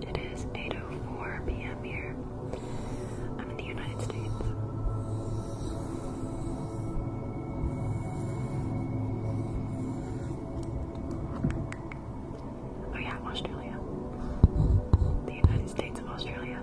It is 8:04 p.m. here. I'm in the United States. Oh yeah, Australia. The United States of Australia.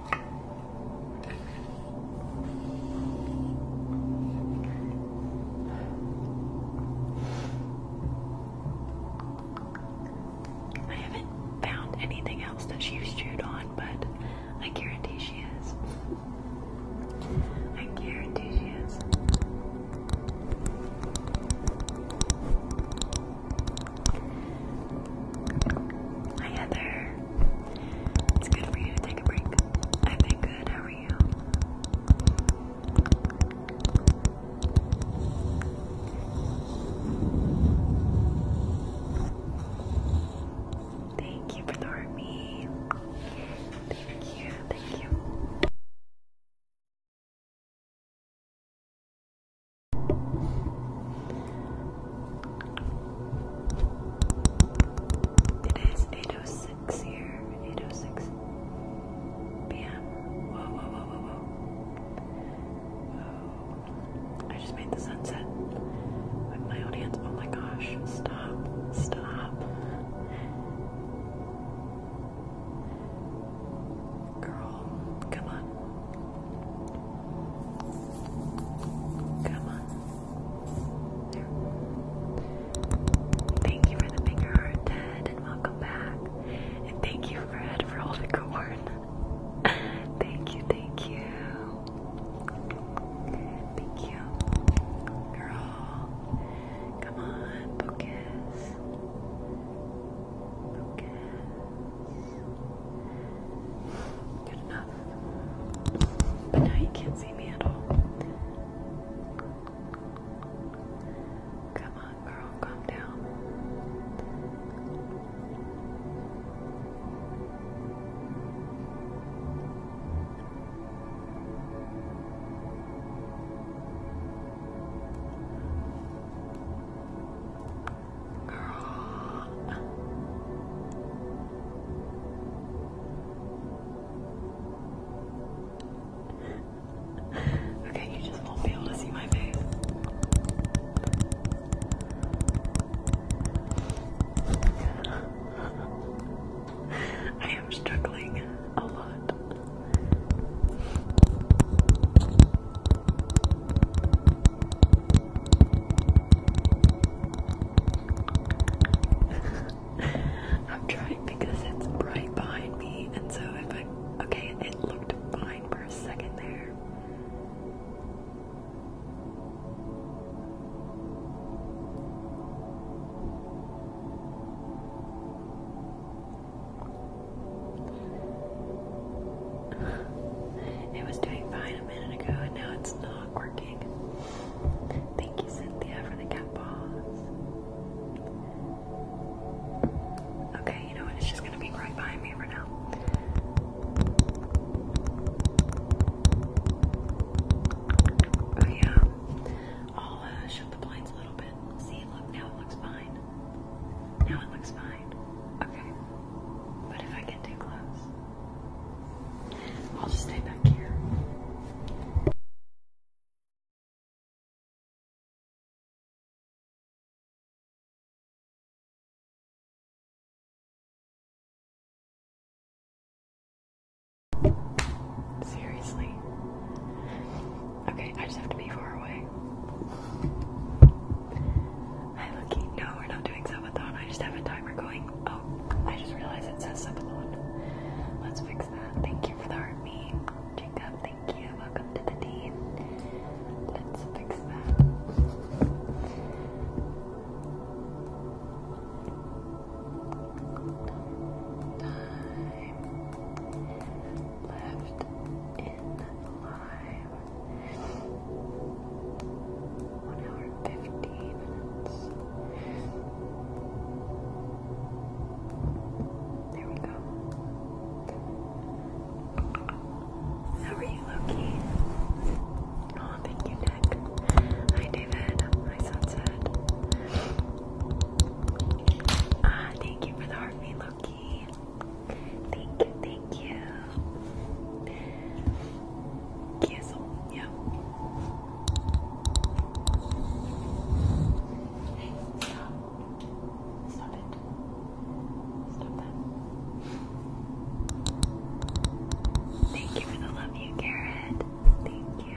I haven't found anything else that she's chewed on, but I guarantee she is. I guarantee she is. Hi Heather. It's good for you to take a break. I've good. How are you? Thank you for the army. Thank you. Thank you. It is 8.06 here, 8.06 p.m. Whoa, whoa, whoa, whoa, whoa. I just made the sunset with my own Oh my gosh, stop, stop. Girl, come on. Come on. Thank you for the finger heart, Ted, and welcome back. And thank you, Fred, for all the corn. thank you, thank you. Thank you. Girl. Come on, focus. Focus. Good enough. But now you can't see me at all. Come on, girl, calm down. Okay, you just won't be able to see my face. I am struggling a lot. I'm trying because it's right behind me, and so if I okay, it looked fine for a second there. it was doing fine a minute ago and now it's not working. Thank you, Cynthia, for the cat paws. Okay, you know what? It's just gonna be right behind me for now. Oh, yeah. I'll uh, shut the blinds a little bit. See, look, now it looks fine. Now it looks fine. Okay. But if I get too close, I'll just stay back here. Seriously. Okay, I just have to be far away. Hi, Lucky. No, we're not doing so. I just have a timer going. Oh, I just realized it says subathon. Let's fix that. Thank you for the heartbeat. Jacob, thank you. Welcome to the team. Let's fix that. Time left in live. One hour fifteen minutes. There we go. How are you, Loki? Oh, thank you, Nick. Hi, David. Hi, Sunset. Ah, thank you for the heartbeat, Loki. Thank you, thank you. Cancel, yeah. stop. Stop it. Stop that. Thank you for the love you, Garrett. Thank you.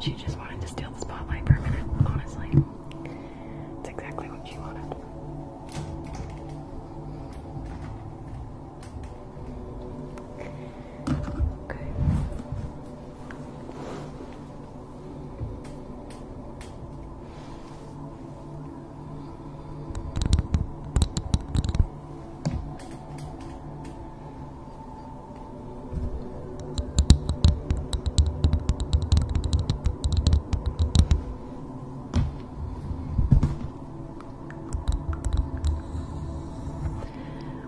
She just wanted to steal the spotlight for a minute, honestly. It's exactly what you wanted. Okay.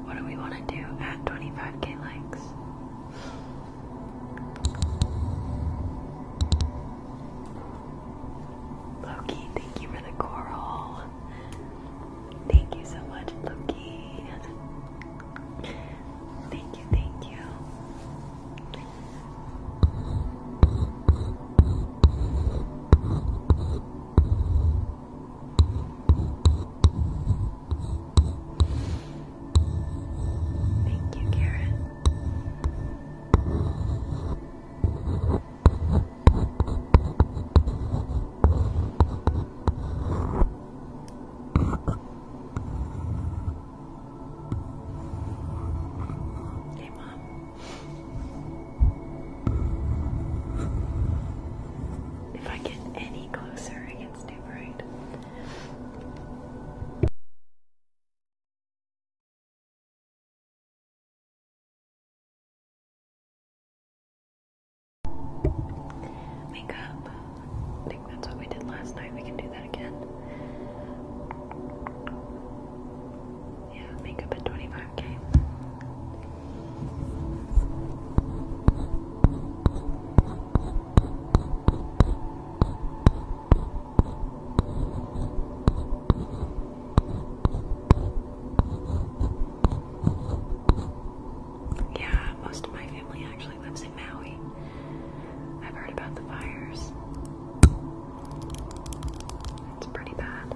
What do we want to do at 25k likes? Loki, thank you for the coral. Thank you so much, Loki. Thank you, thank you. Thank you, Karen. Hey, Mom. If I get any closer, I can too bright. Makeup. I think that's what we did last night. We can do that again. Yeah, makeup at 25k. Yeah, most of my family actually lives Maui. I've heard about the fires. It's pretty bad.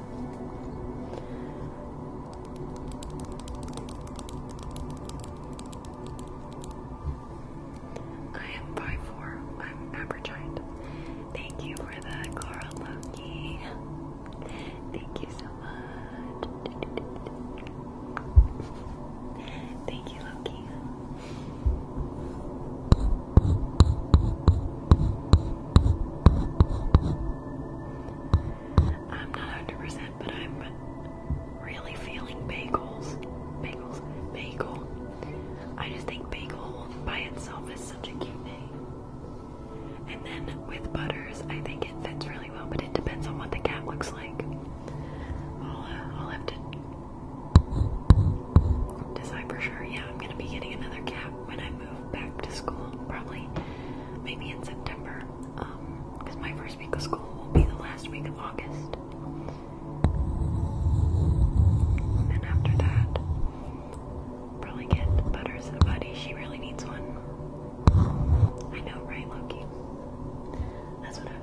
I am 5'4. I'm average height. Thank you for the Clara Loki. Thank you so much. Thank you, Loki. I'm not 100 but I'm really feeling bagels. Bagels. Bagel. I just think bagel by itself is such a cute name. And then with butters, I think it fits really well, but it depends on what the cat looks like. I'll, uh, I'll have to for sure. Yeah, I'm gonna be getting another cap when I move back to school. Probably, maybe in September. Um, because my first week of school will be the last week of August. And then after that, probably get Butters buddy. She really needs one. I know, right, Loki? That's what I've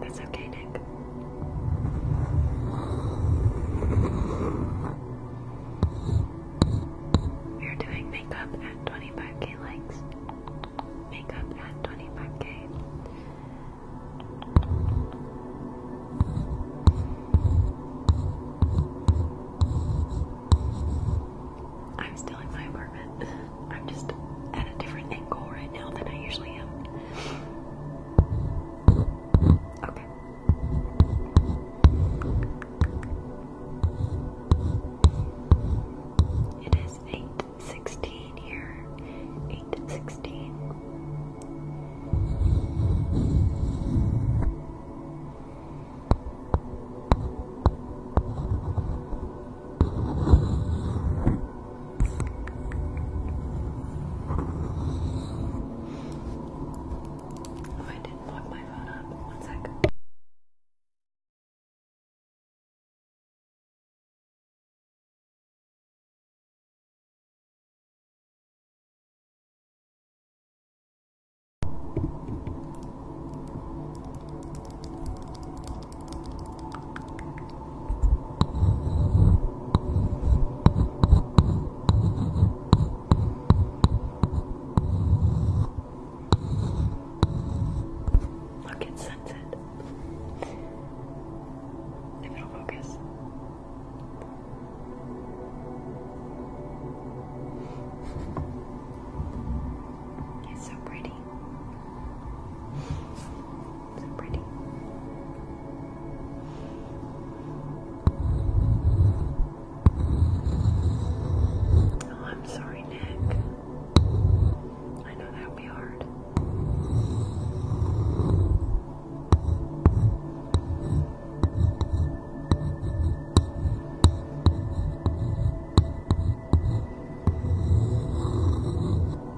That's okay, Nick. We are doing makeup at 25k likes. Makeup at 25k. I'm still in my apartment. I'm just at a different angle right now than I usually am. Okay. It is eight sixteen here. Eight sixteen. Oh, I didn't put my phone up. One sec. Look, it's sunset. If it'll focus. It's so pretty. Oh, I'm sorry, Nick. I know that would be hard.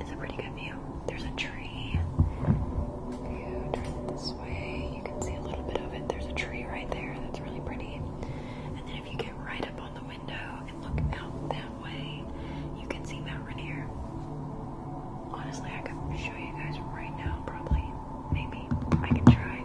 it's a pretty good view. There's a tree. this way, you can see a little bit of it. There's a tree right there that's really pretty. And then if you get right up on the window and look out that way, you can see Mount Rainier. Honestly, I could show you guys right now, probably. Maybe. I can try.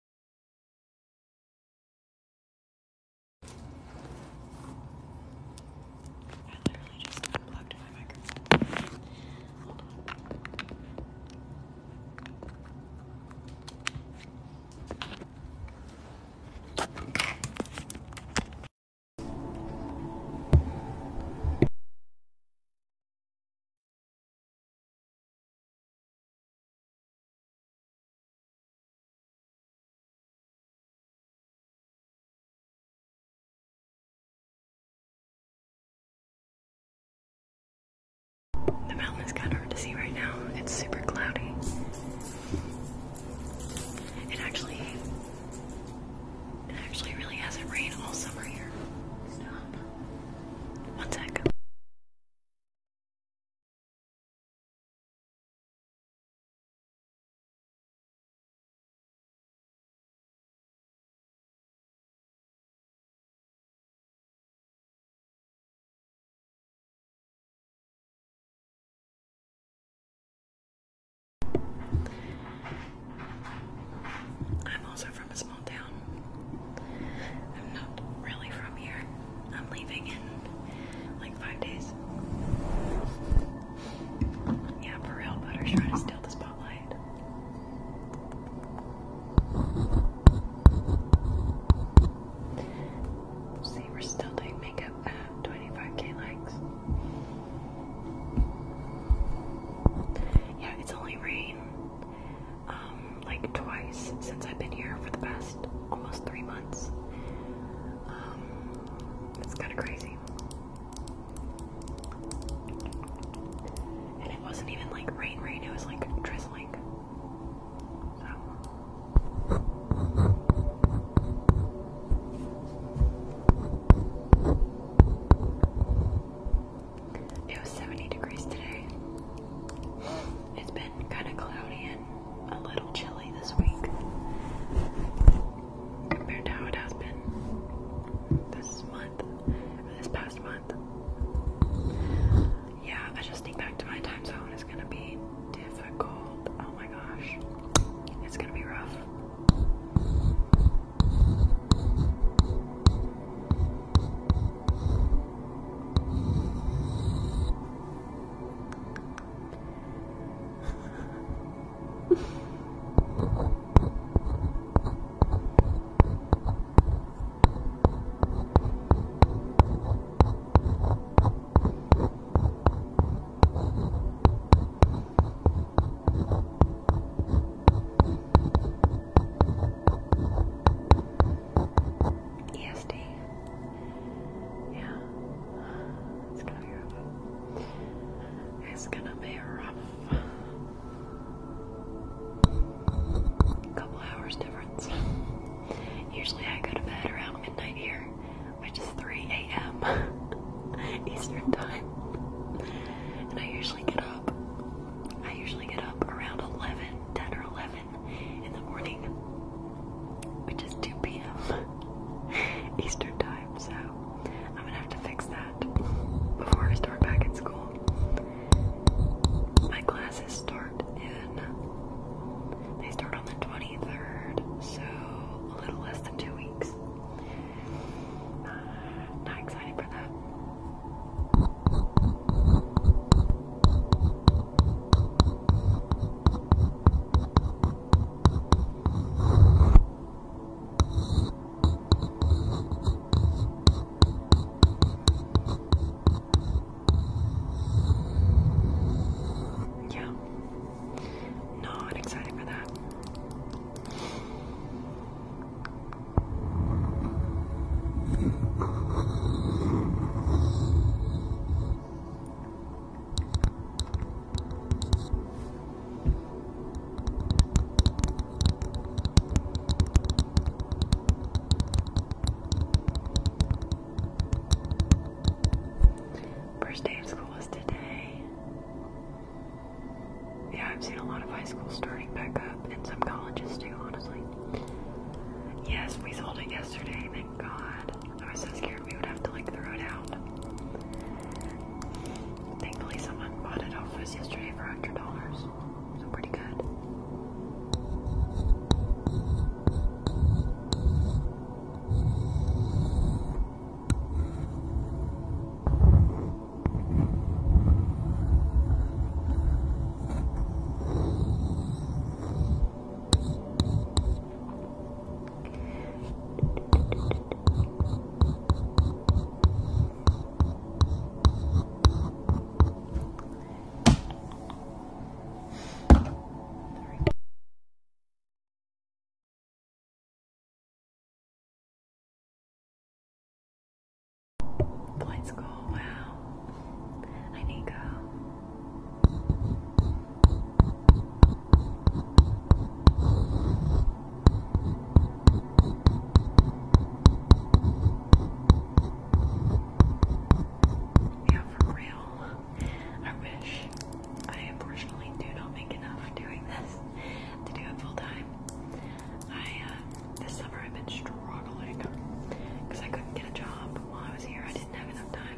I literally just unplugged my microphone. Hold on. The mountain is kind of hard to see right now. It's super cloudy. It actually, it actually really hasn't rained all summer here. Stop. I'm also from a small town. I'm not really from here. I'm leaving in like five days. Yeah, for real, Butter's trying to steal the spotlight. See, we're still doing makeup 25k likes. Yeah, it's only rained um, like twice since I've been here for the past almost three months. Um, it's kind of crazy. And it wasn't even like rain, rain, it was like drizzling. So. It was 70 degrees today. It's been kind of cloudy and a little chilly this week compared to how it has been this month, this past month. Yeah, adjusting back to my time zone is gonna be difficult. Oh my gosh, it's gonna be rough. Yes, Dave. Yeah, it's gonna be rough. It's Couple hours difference. Usually I go to bed around midnight here, which is 3 a.m. Eastern time. And I usually get up. I usually get up around 11, 10 or 11 in the morning, which is 2 p.m. Eastern time, so I'm gonna have to fix that before I start back at school. My classes start in, they start on the 23rd, so a little less than two weeks. Uh, not excited for that. Yeah. Not excited for that. First day of school was today. Yeah, I've seen a lot of high schools starting back up, and some colleges too, honestly. Yes, we sold it yesterday, thank God. I was so scared we would have to like throw it out. Thankfully, someone bought it off us yesterday for $100, so pretty good. Let's Wow. I need to go. Yeah, for real. I wish I unfortunately do not make enough doing this to do it full time. I uh, this summer I've been struggling because I couldn't get a job while I was here. I didn't have enough time.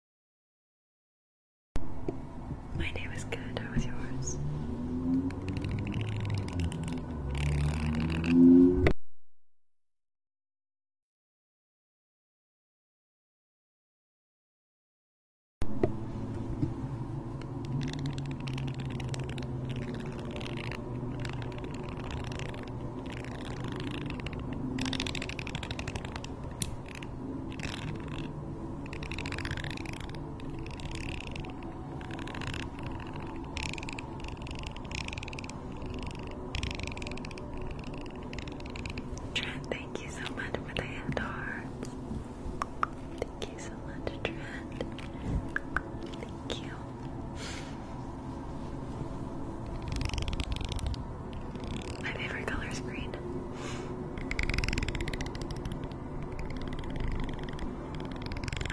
My name is good. How was yours? Trent, thank you so much for the hand hearts. Thank you so much, Trent. Thank you. My favorite color is green. I'm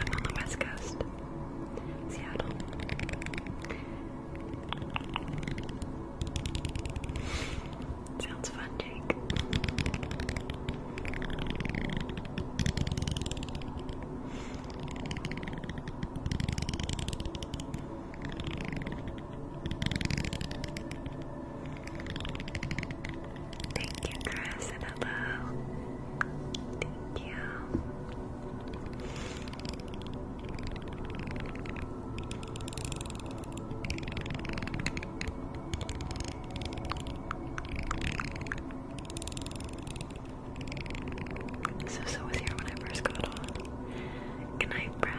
on the west coast, Seattle. Sounds fun, Jake. Thank you, Chris, and hello. Thank you. So, so was here when I first got on. Good night, Brad.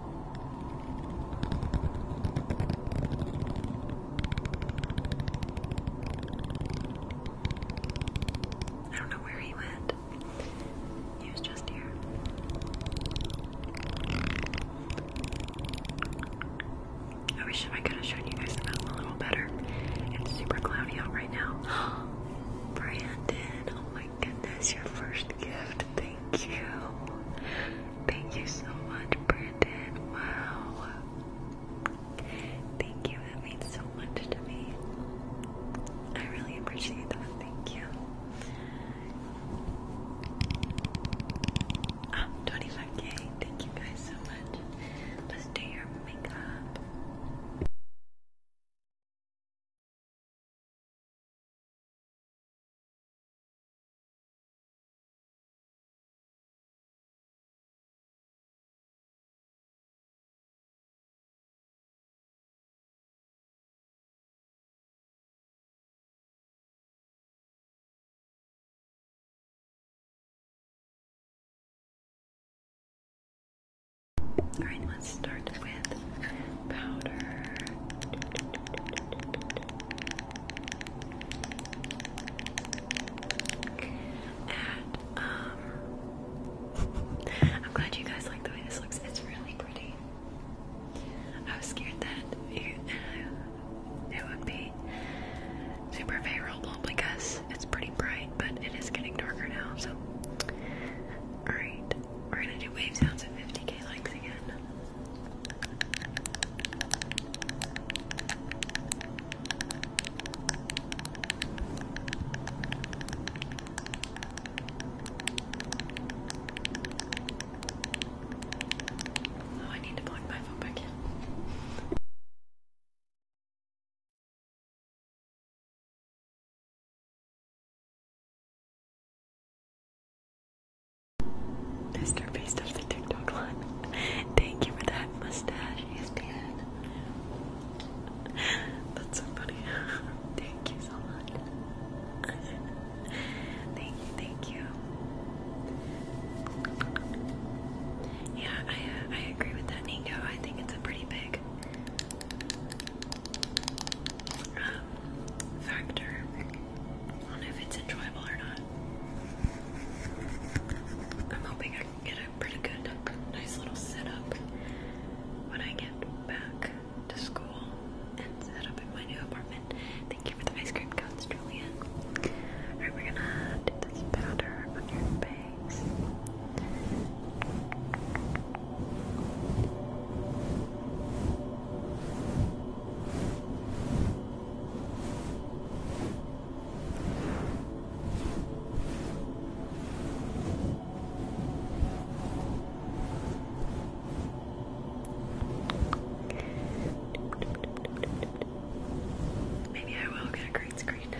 I don't know where he went. He was just here. I wish I could have shown you guys the mountain a little better. It's super cloudy out right now. Brandon, oh my goodness, your first gift. Thank you. Thank you so much, Brandon. Wow. Thank you. That means so much to me. I really appreciate that. Thank you. Ah, um, 25k. Thank you guys so much. Let's do your makeup. Alright, let's start with powder. Um, I'm glad you guys like the way this looks. It's really pretty. I was scared that it, would be super favorable because it's pretty bright, but it is getting darker now, so Alright, we're gonna do wave sounds at 50k likes again. Oh, I need to plug my phone back in. Mr. Beast of the TikTok line. Thank you for that mustache, ESPN. That's so funny. thank you so much. thank thank you. Yeah, I, uh, I agree with that, Nico. I think it's a pretty big um, factor I don't know if it's enjoyable or not. I'm hoping I can get a pretty good, nice little setup when I get back to school and set up in my new apartment. Thank you for the ice cream cones, Julian. Alright, we're gonna do this powder on your face. Maybe I will get a green screen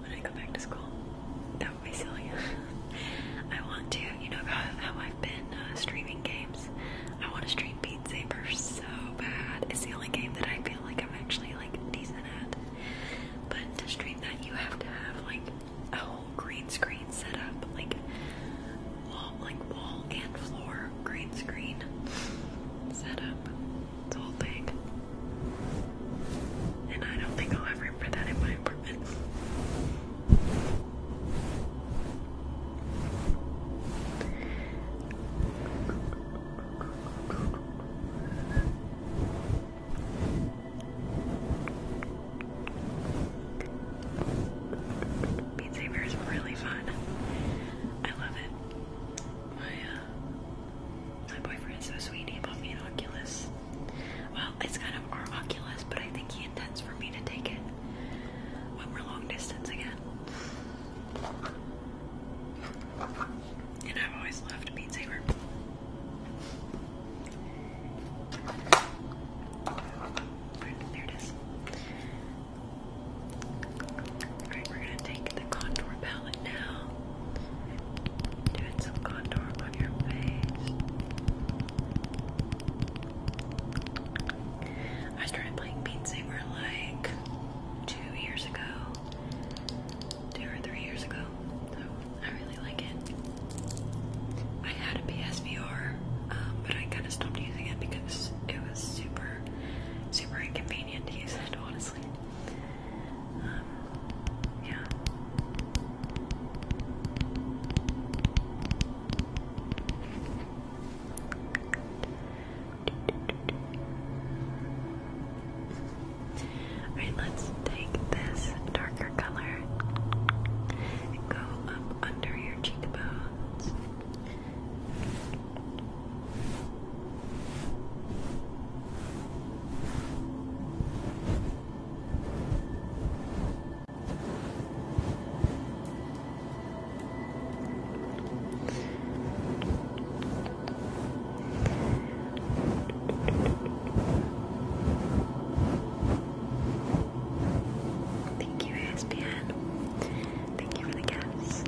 when I go back to school. That would be silly. I want to, you know, how I've been uh, streaming games. I want to stream Beat Saber so bad. It's the only game that I feel like I'm actually like decent at. But to stream that, you have to have like a whole green screen setup, like wall, like wall and floor green screen set up. It's whole thing. And I don't think I'll have room for that in my apartment. Beat Saber is really fun. I love it. My uh, my boyfriend is so sweet. He bought me an Oculus. Well, it's kind of our Oculus, but I think he intends for me to take it when we're long distance again. And I've always loved Beat Saber. there it is. Alright, we're gonna take the contour palette now. Doing some contour on your face. I started playing Beat Saber like two years ago, two or three years ago. So I really like it. I had a PSVR, um, but I kind of stopped using it because it was super, super inconvenient to use it, honestly. Um, yeah. Alright, let's take this darker color and go up under your cheekbones. Thank you, ESPN. Thank you for the gifts.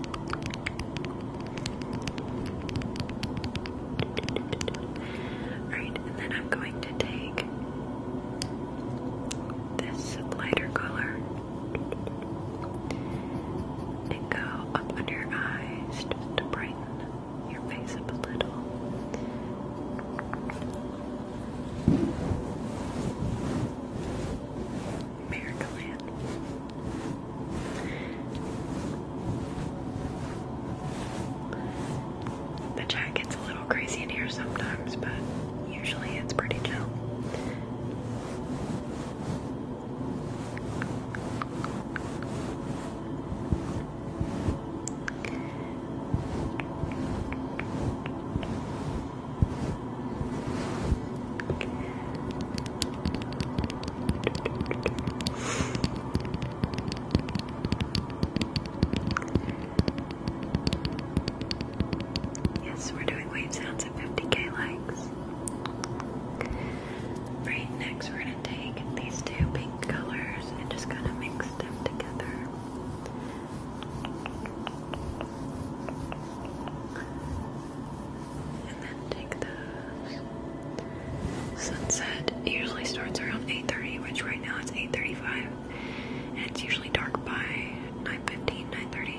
Alright, and then I'm going to take this lighter color and go up under your eyes just to brighten your face up a little. Miracle Land. The chat gets a little crazy in here sometimes, but usually it's pretty chill. Yes, we're doing wave sounds at 50k likes. Right, next we're going to take these two pink colors and just kind of mix them together. And then take those. Sunset usually starts around 8.30, which right now it's 8.35. And it's usually dark by 9.15, 9.30.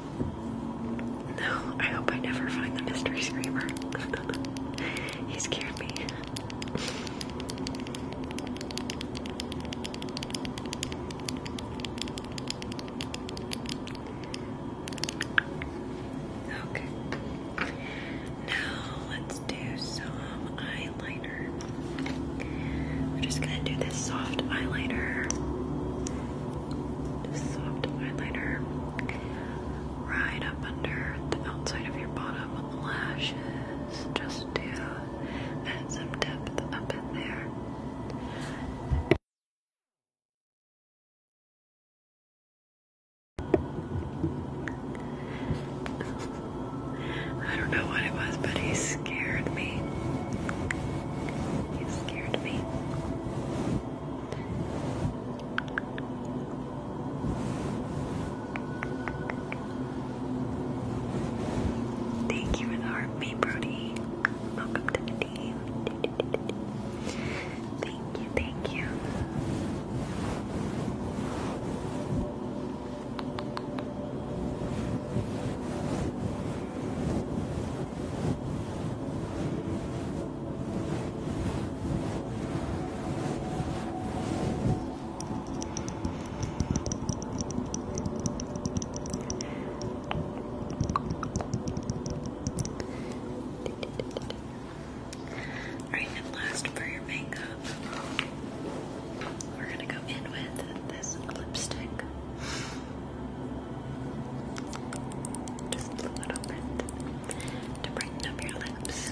No, I hope I never find the mystery screamer. he scared me. Okay. Now let's do some eyeliner. We're just gonna do this soft eyeliner soft eyeliner right up under the outside of your bottom lashes just to add some depth up in there. I don't know what it was, but he scared me. He scared me. Thank you for the heartbeat, Brody. Welcome to the team. Thank you, thank you. Alright, and last for your makeup, we're gonna go in with this lipstick. Just a little bit to brighten up your lips.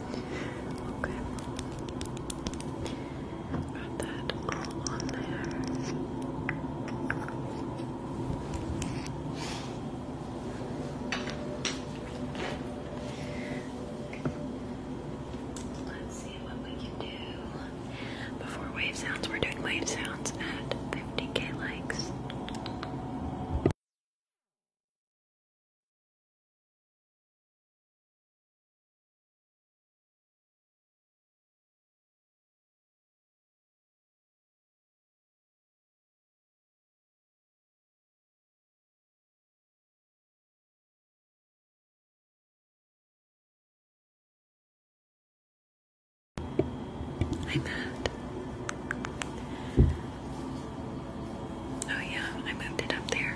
Okay. Got that all on there. Let's see what we can do. Before wave sounds, we're doing wave sounds at 50k likes. I'm mad. Oh, yeah, I moved it up there.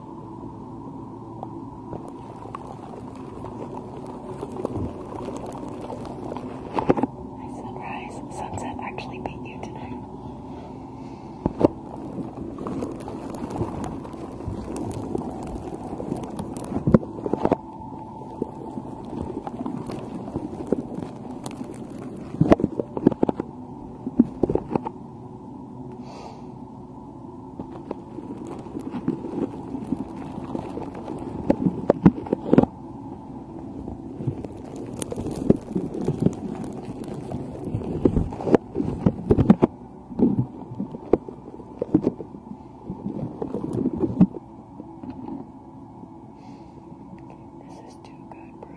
My surprise sunset actually beat you tonight. This is too good, bro.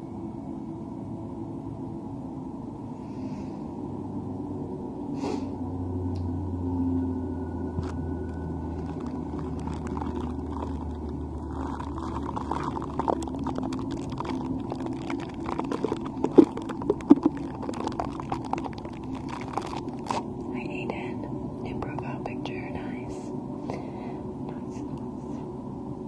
I ate it. It broke out picture. Nice. Nice. nice. Hi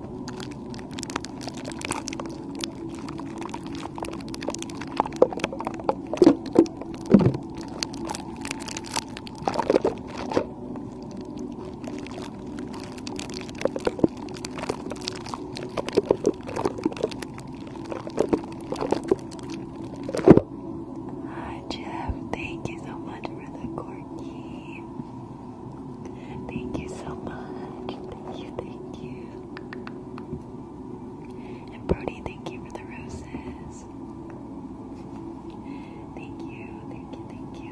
Jeff, thank you so much for the corky. Thank you so much. Thank you, thank you. And Brody, thank you for the roses. Thank you, thank you, thank you.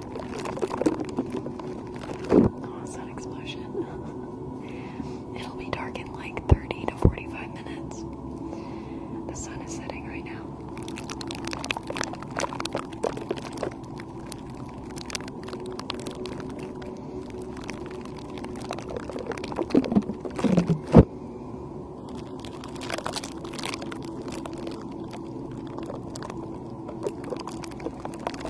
Oh, explosion. It'll be dark in like 30 to 45 minutes. The sun is setting right now.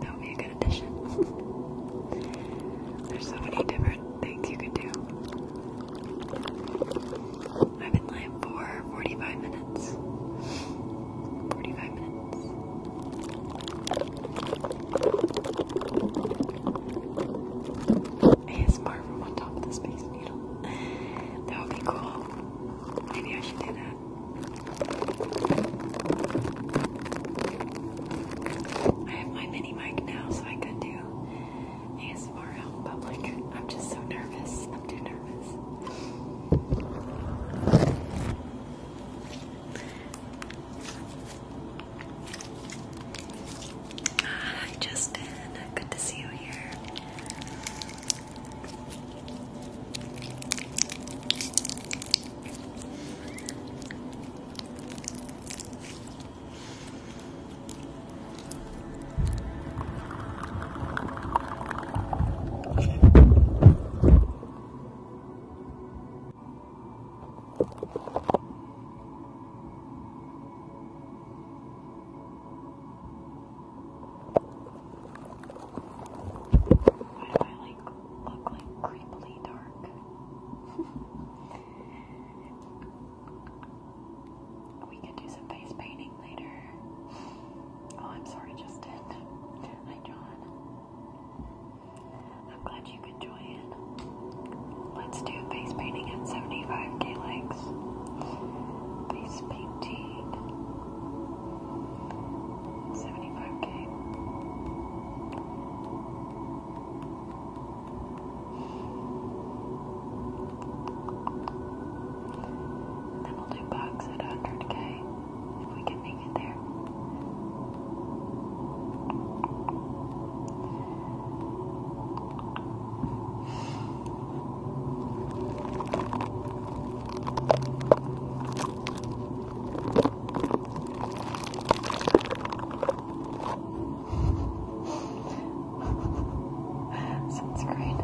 That would be a good addition. There's so many different things you could do. I've been live for 45 minutes. 45 minutes. ASMR from on top of the Space Needle. That would be cool. Maybe I should do that. I have my mini mic now, so I could do ASMR in public. I'm just so nervous. I'm too nervous. Ah, hi, Justin. Good to see you here. I like look like creepily dark we could do some face painting later. Oh, I'm sorry, Justin. Hi, John. I'm glad you could join. Let's do face painting at 75k likes. Face painting. 75k. And then we'll do bugs at 100k if we can make it there. Sounds great.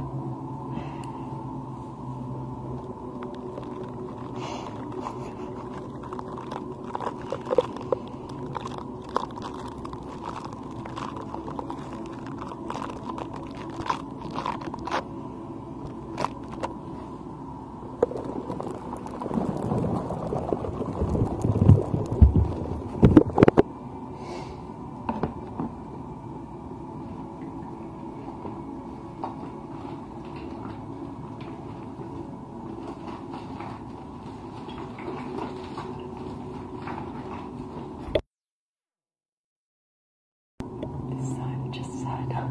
This side, just side up.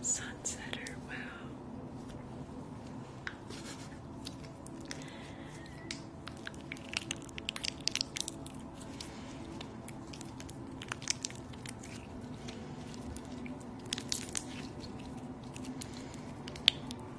Sunsetter, wow. I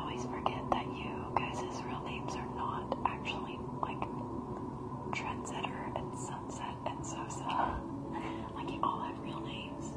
always forget that you guys' real names are not actually like Trendsetter and Sunset and Sosa. like you all have real names.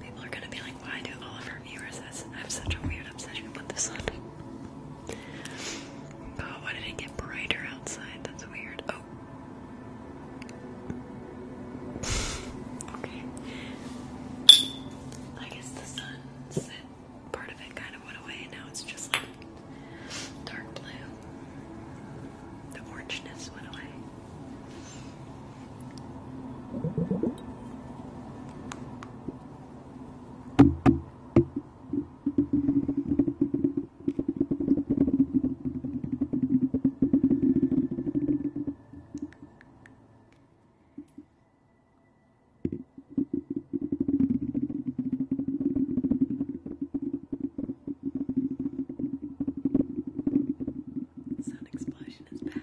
People are gonna be like, like, why do all of our viewers have such a weird obsession with the sun? Oh, why did it get brighter outside? That's weird. Oh. okay. I guess the sunset part of it kind of went away, now it's just like dark blue. The orangeness went away. Sound explosion motivation is back.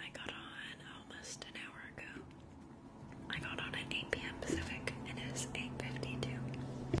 I got on almost an hour ago. I got on at 8 p.m. Pacific and it is 8.52.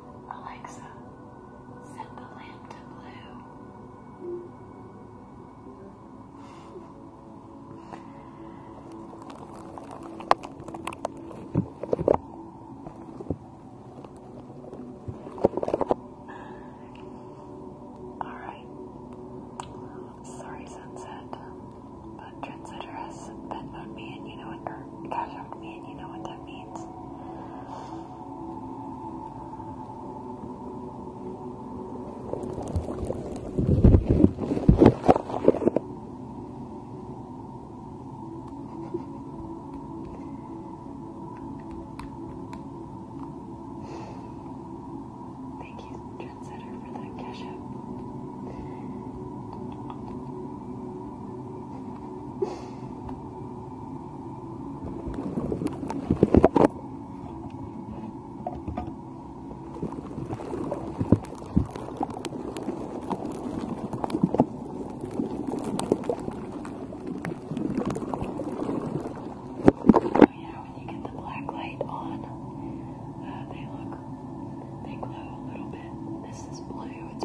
Alexa, set the lamp to blue. All right. Sorry, sunset, Transitor has Venmoed me and you know what, cash out me and you know what that means. Thank you, Trendsetter, for the cash out. Oh, yeah, when you get the black light on, uh, they look, they glow a little bit. This is blue, it's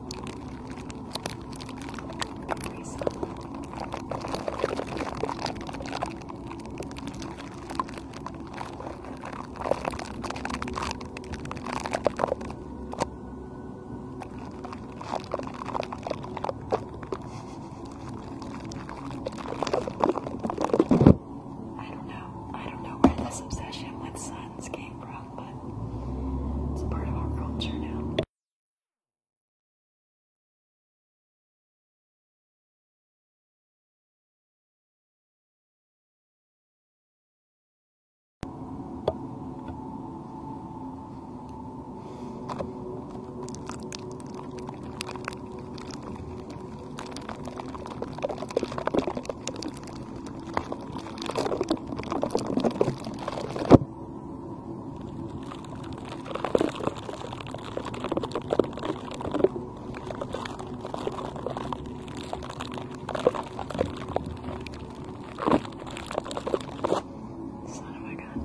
I don't know. I don't know where this obsession with sun guns came from, but it's part of our culture now. Son of a gun.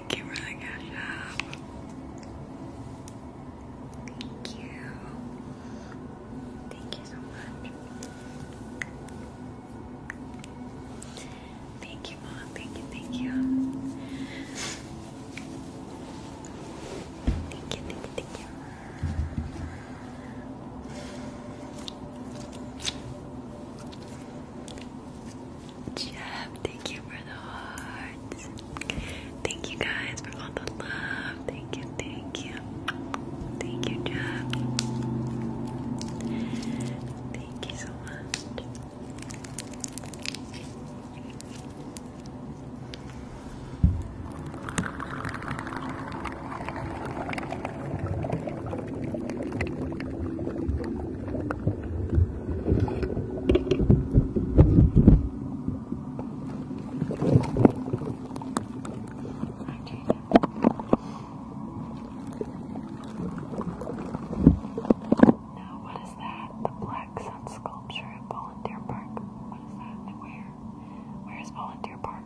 Thank you for the cash app. Thank you. Thank you so much. Thank you, Mom. Thank you, thank you. Thank you, thank you, thank you. Jeff, thank you for the hearts. Thank you guys for all the love. Thank you, thank you. Thank you, Jeff. Thank you so much. Now, what is that? The Black Sun sculpture at Volunteer Park. What is that? And where? Where is Volunteer Park?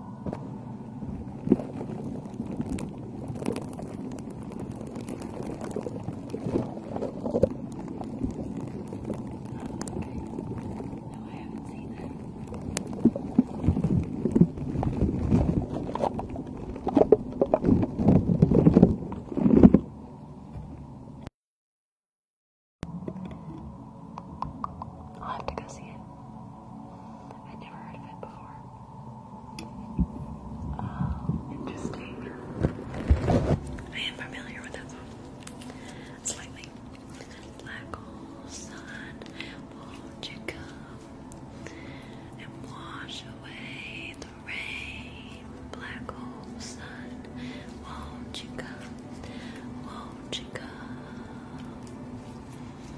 No, I haven't seen that. I'll have to go see it. I'd never heard of it before interesting. I am familiar with that song. Slightly. Black old sun, won't you come and wash away the rain? Black old sun, won't you come? Won't you come?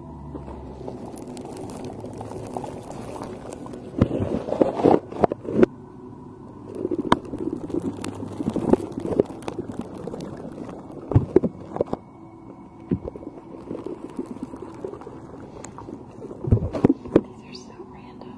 These are so random.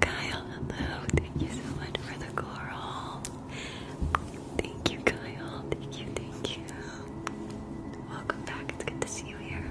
Kyle, hello. Thank you so much for the coral. Thank you, Kyle. Thank you, thank you. Welcome back. It's good to see you here.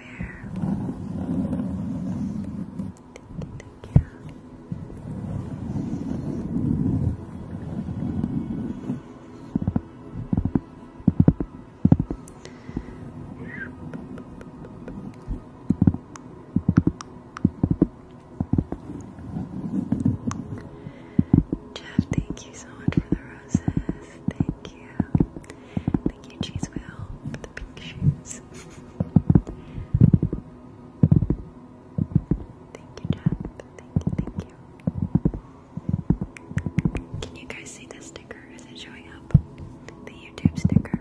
Thank you. Jeff, thank you so much for the roses. Thank you. Thank you, Cheese Will, for the pink shoes. Thank you, Jeff. Thank thank you. Can you guys see the sticker? Is it showing up? The YouTube sticker.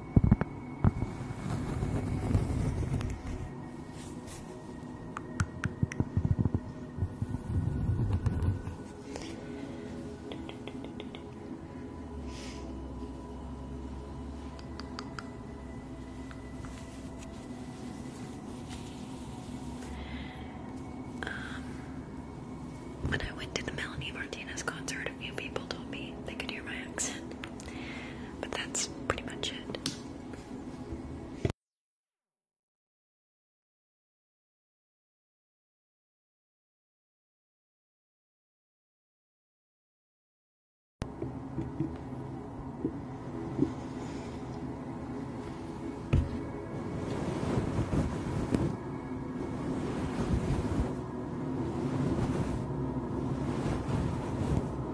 Um, when I went to the Melanie Martinez concert, a few people told me they could hear my accent. But that's pretty much it.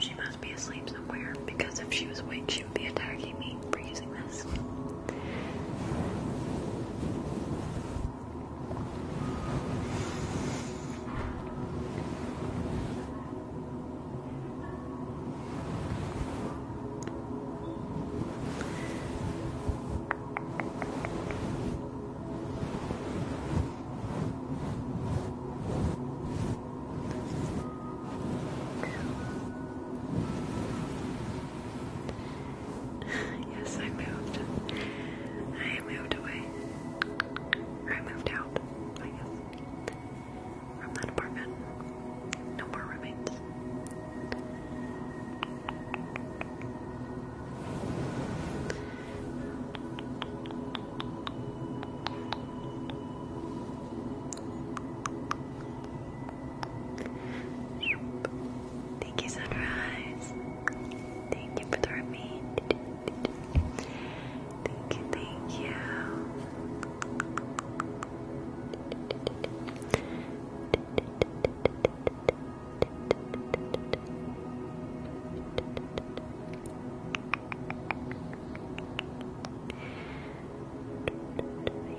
she must be asleep somewhere because if she was awake, she would be attacking me for using this yes, I moved. I moved away. I moved out, From that apartment. No more roommates. Thank you, Sunrise. Thank you for the remain. thank you.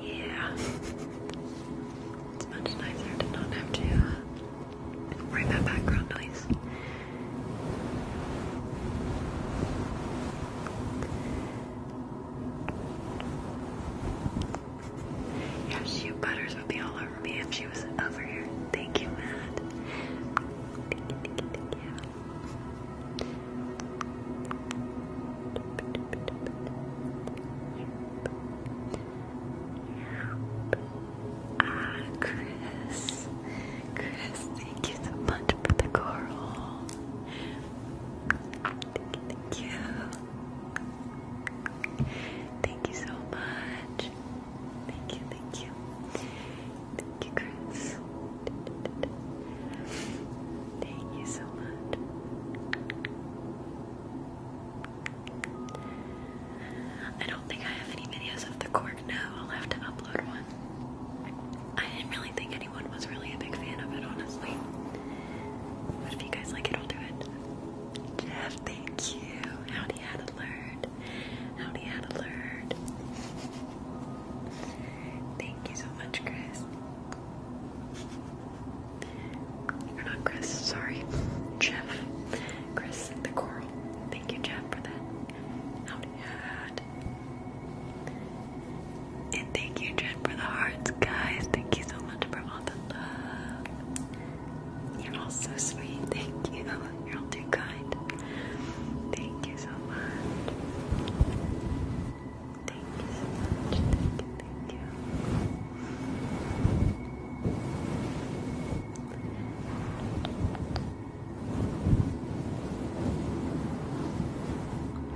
Yeah. it's much nicer to not have to uh, worry background noise. Yeah, she butters would be all over me if she was over here. Thank you, Matt. Ah, Chris. Chris, thank you so much for the coral. thank you. Thank you so much. Thank you, thank you. Thank you, Chris. Thank you so much. I don't think I have any videos of the cork now. I'll have to upload one. I didn't really think anyone was really a big fan of it, honestly if you guys like it, I'll do it. Jeff, thank you. Howdy, Adelard. Howdy, Adelard. Thank you so much, Chris. Or not Chris, sorry. Jeff. Chris, the coral. Thank you, Jeff, for that. Howdy, Ad. And thank you, Jen, for the hearts, guys. Thank you so much for all the love. You're all so sweet. Thank you. You're all too kind. Thank you so much. Thank you Thank you.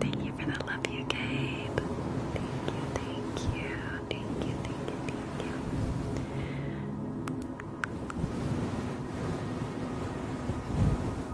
Thank you for the love you gave. Thank you, thank you, thank you, thank you, thank you.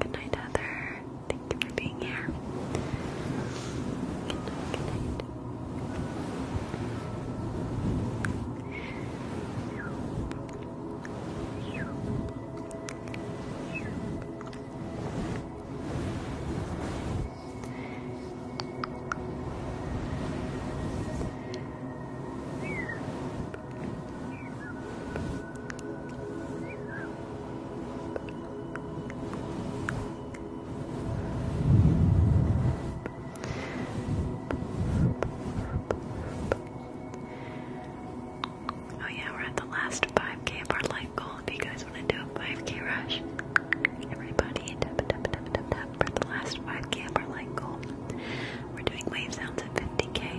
Good night, Heather. Thank you for being here. Good night, Oh yeah, we're at the last 5k of our life goal. If you guys want to do a 5k rush, everybody tap tap tap tap tap for the last 5k of our life goal. We're doing wave sounds at 50k.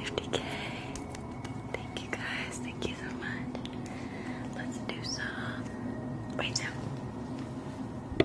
50k. Thank you guys. Thank you so much. Let's do some right now.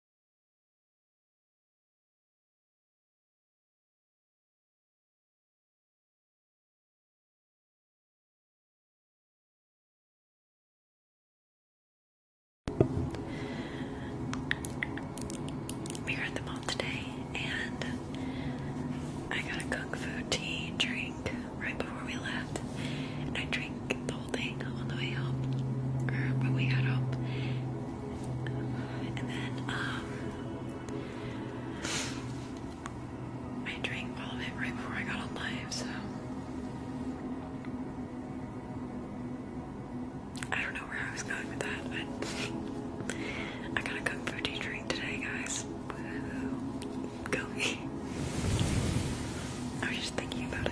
We are at the mall today, and I got a cook food tea drink right before we left, and I drink the whole thing on the way home, or when we got home, um, I drank all of it right before I got on live, so. I don't know where I was going with that, I got a kung drink today, guys. Go I was just thinking about it.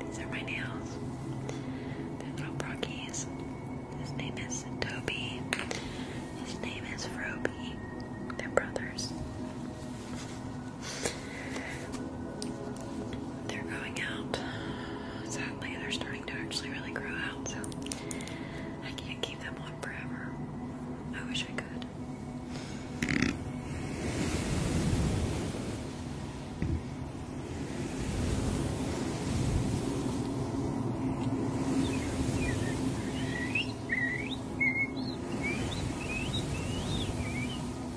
These are my nails. They're little brockies. His name is Toby. His name is Roby. They're brothers. They're going out. Sadly, they're starting to actually really grow out, so I can't keep them on forever. I wish I could.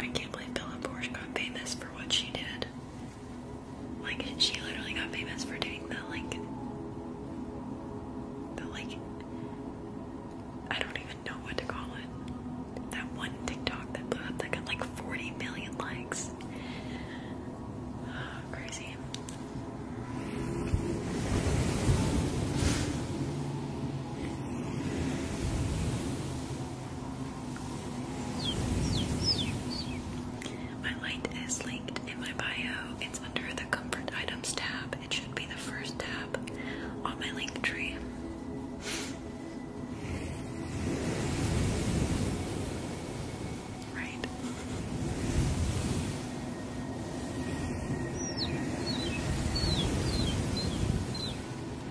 I can't believe Bella Porsche got famous for what she did. Like she literally got famous for doing the like the like I don't even know what to call it. That one TikTok that blew up that got like 40 million likes. crazy. My light is linked in my bio. It's under the comfort items tab. It should be the first tab on my link tree. Right.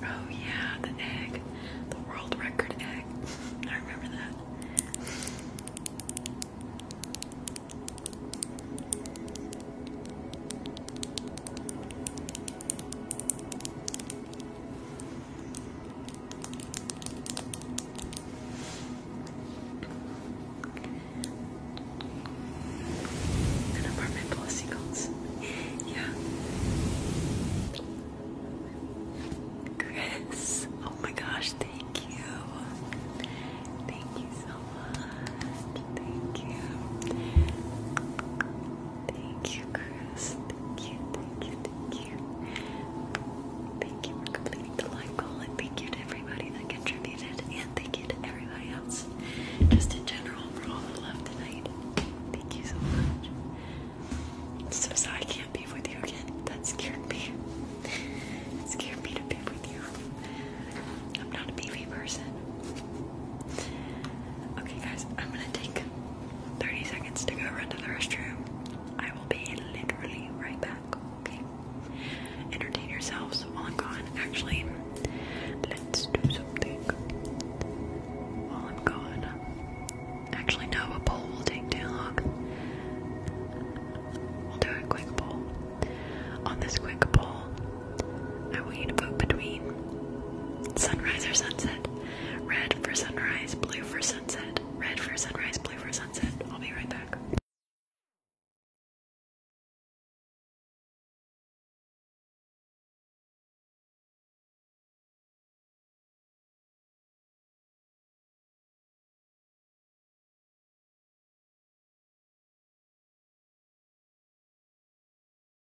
Oh yeah, the egg. The world record egg. I remember that. An apartment full of seagulls. yeah. Chris, oh my gosh, thank you. Thank you so much. Thank you. Thank you, Chris. Thank you, thank you, thank you. Thank you for completing the live goal, thank you to everybody that contributed, and thank you to everybody else, just in general, for all the love tonight. Thank you so much. so sorry I can't be with you again. That scared me. scared me to be with you. I'm not a BV person. Okay, guys, I'm gonna take 30 seconds to go run to the restroom. I will be literally right back, okay? Entertain yourselves while I'm gone. Actually, let's do something while I'm gone. Actually, no, a poll will take too long. We'll do a quick poll. On this quick poll, I want you to vote between sunrise or sunset. Red for sunrise, blue for sunset. Red for sunrise, blue for sunset. I'll be right back.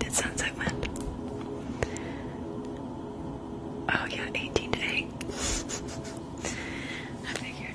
Did sunset win? Oh yeah, 18 to I figured.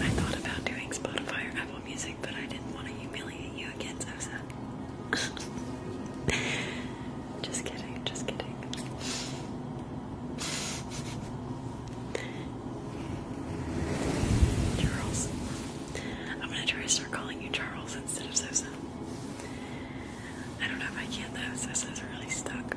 I thought about doing Spotify or Apple Music, but I didn't want to humiliate you again, so just kidding, just kidding. Charles. I'm gonna try to start calling you Charles instead of Sosa. I don't know if I can though, Sosa's really stuck.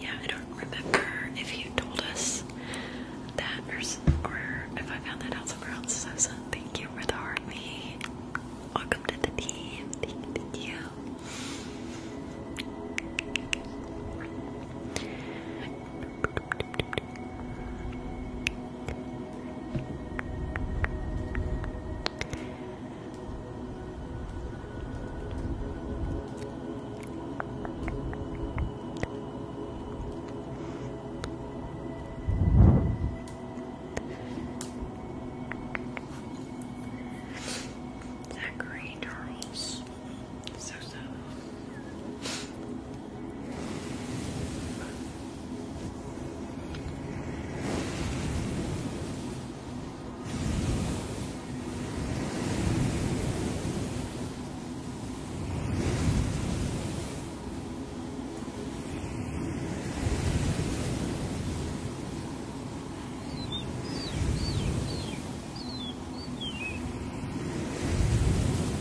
Yeah, I don't remember if you told us that or, if I found that out somewhere else. so thank you for the heart, me. Hi. Welcome to the team. Thank you. Zachary Charles. So so.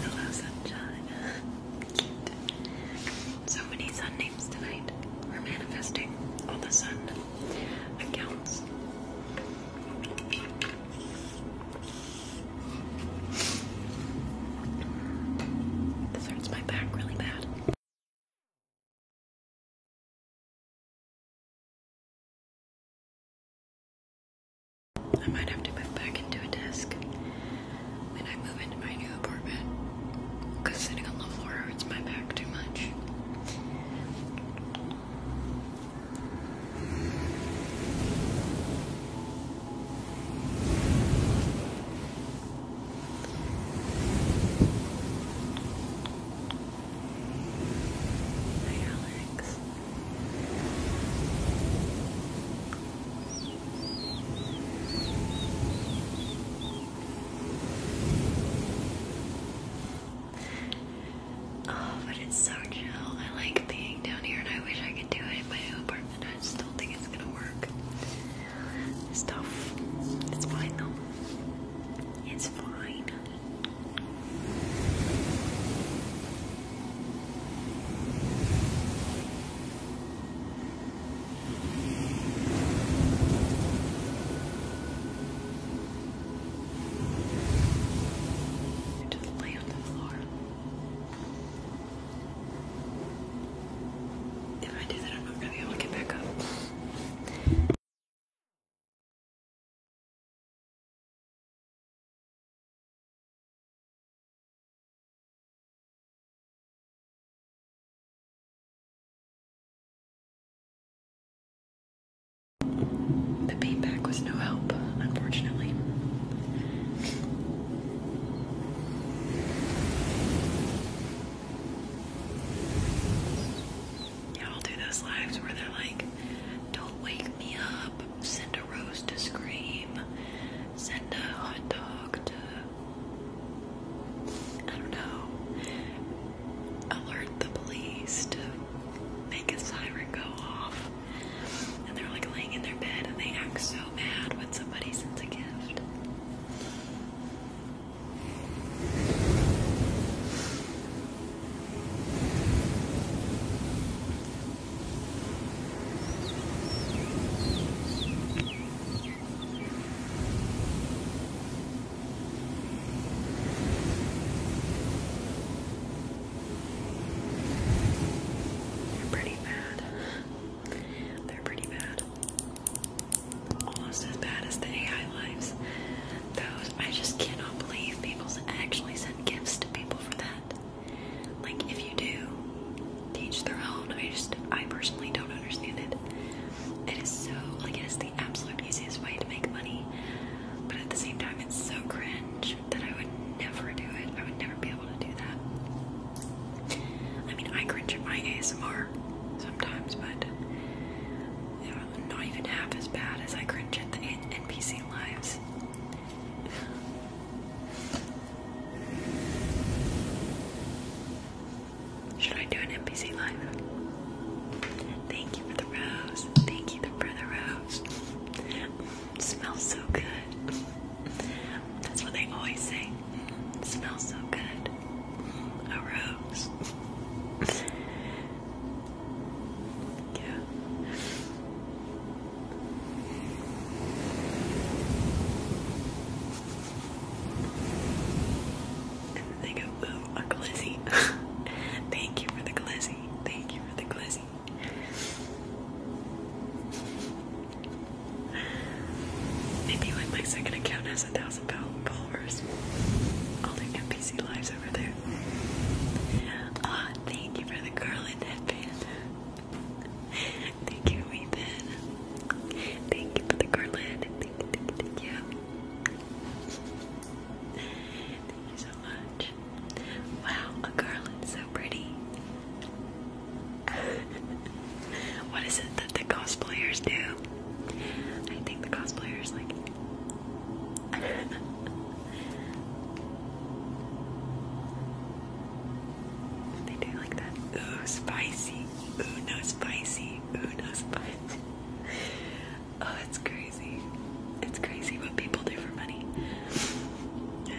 Hello, sunshine. So many sun names tonight. We're manifesting all the sun accounts. This hurts my back really bad. I might have to move back into a desk when I move into my new apartment because sitting on the floor hurts my back too much. Hi, Alex. Oh, but it's so chill. I like being down here and I wish I could do it in my apartment. I just think it's gonna work. It's tough. It's fine though. It's fine. I just lay on the floor. If I do that, I'm not going to be able to get back up. The feedback was no help, unfortunately. Yeah, I'll do those lives where they're like, don't wake me up, send a rose to scream, send a hot dog to. I don't know. Alert the police to make a siren go off. And they're like laying in their bed and they act so mad when somebody sends a gift. You're pretty bad. They're pretty bad. Almost as bad as the AI lives. Those, I just cannot believe people actually send gifts to people for that. Like, if you do, teach their own. I just, I personally don't understand it. It is so, like, it is the absolute easiest way to make money. But at the same time, it's so cringe that I would never do it. I would never be able to do that. I mean, I cringe at my ASMR sometimes, but not even half as bad as I cringe at the lives. Should I do an NPC live? Thank you for the rose. Thank you for the rose. smells so good. That's what they always say. Mm-hmm. smells so good. Mm-hmm. A rose. yeah. And they go, ooh, a glizzy. Thank you for the glizzy. Thank you for the glizzy. Maybe when my second account has a thousand followers, I'll NPC lives over there. Ah, thank you for the garland headband. thank you, Ethan. Thank you for the garland. Thank you, thank you, thank you. Thank you so much. Wow, a garland's so pretty. what is it that the cosplayers do? I think the cosplayers like. they do like that. Ooh, spicy. Ooh, no spicy. Ooh, no spicy. oh, it's crazy. It's crazy what people do for money.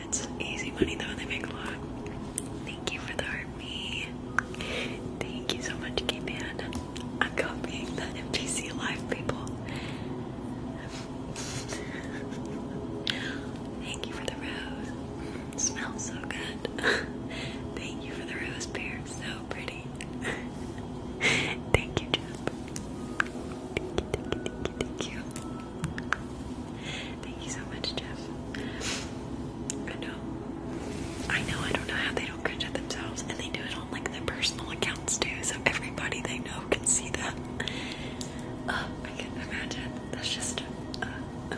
It's easy money though, they make a lot. Thank you for the me. Thank you so much, k I'm copying that NPC live, people. Thank you for the rose. smells so good. Thank you for the rose So pretty. Thank you, Jeff. Thank you, thank you, thank you, thank you. Thank you so much, Jeff. I know. I know, I don't know how they don't cringe at themselves, and they do it on like their personal accounts too, so everybody they know can see that. Uh, I can imagine. That's just. Uh, uh.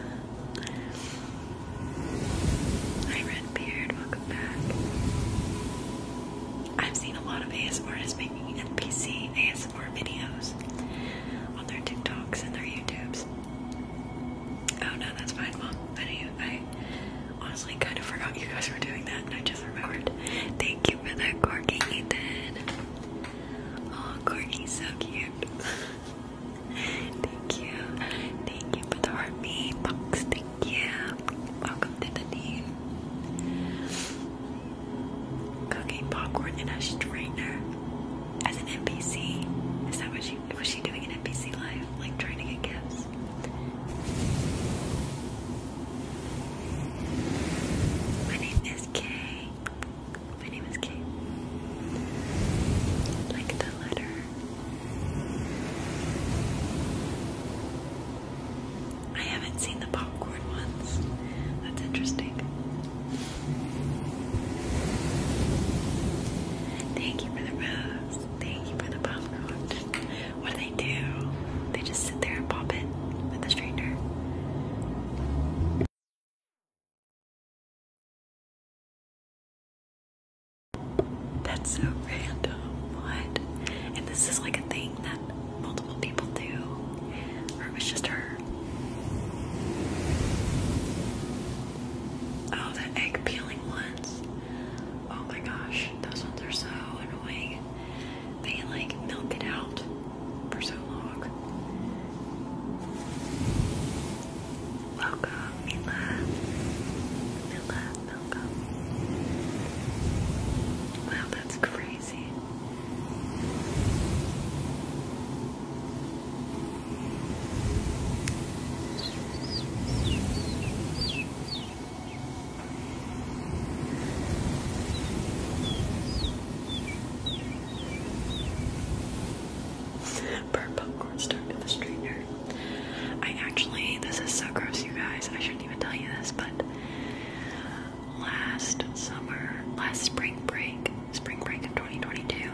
Hi, Redbeard, welcome back. I've seen a lot of ASMRs making NPC ASMR videos on their TikToks and their YouTubes. Oh no, that's fine, Mom. I I honestly kind of forgot you guys were doing that, and I just remembered. Thank you for that, Corky Ethan. Oh, Corky's so cute. Thank you. Thank you for the heart me box. Thank you. Welcome to the team. Cooking popcorn in a strainer as an NPC. Is that what she was she doing? busy life, like trying to get gifts. My name is Kay. My name is Kay. Like the letter. I haven't seen the popcorn ones. That's interesting. Thank you for the rose. Thank you for the popcorn. What do they do? They just sit there and pop it with a stranger. That's so random. What? And this is like a thing that multiple people do. Or just her. Oh, the egg peeling ones. Oh my gosh, those ones are so annoying. They like milk it out for so long. Welcome, Mila. Mila, Wow, that's crazy. Burn popcorn started in the strainer. I actually, this is so gross, you guys. I shouldn't even tell you this, but last summer, last spring break, spring break of 2022,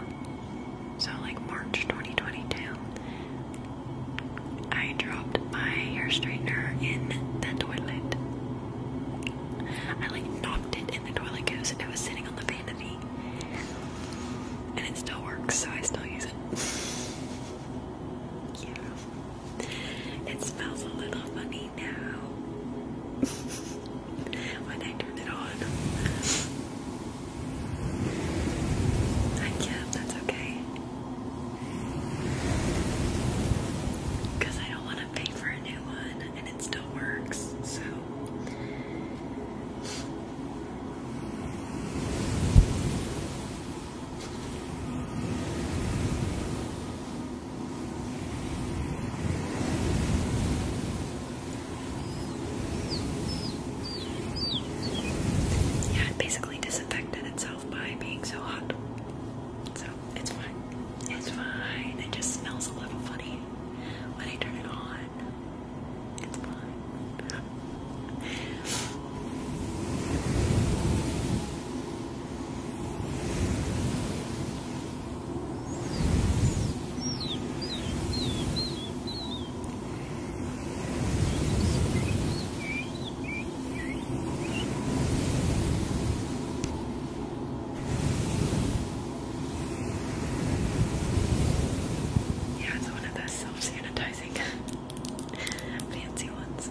so like March 2022, I dropped my hair straightener in the toilet. I like knocked it in the toilet because it was sitting on the vanity, and it still works, so I still use it. Yeah, it smells a little funny now. when I turn it on, I can that's okay. Because I don't want to pay for a new one and it still works, so. Yeah, it basically disinfected itself by being so hot. So it's fine. It's fine. It just smells a little funny when I turn it on. It's fine. Yeah, it's one of those self sanitizing fancy ones.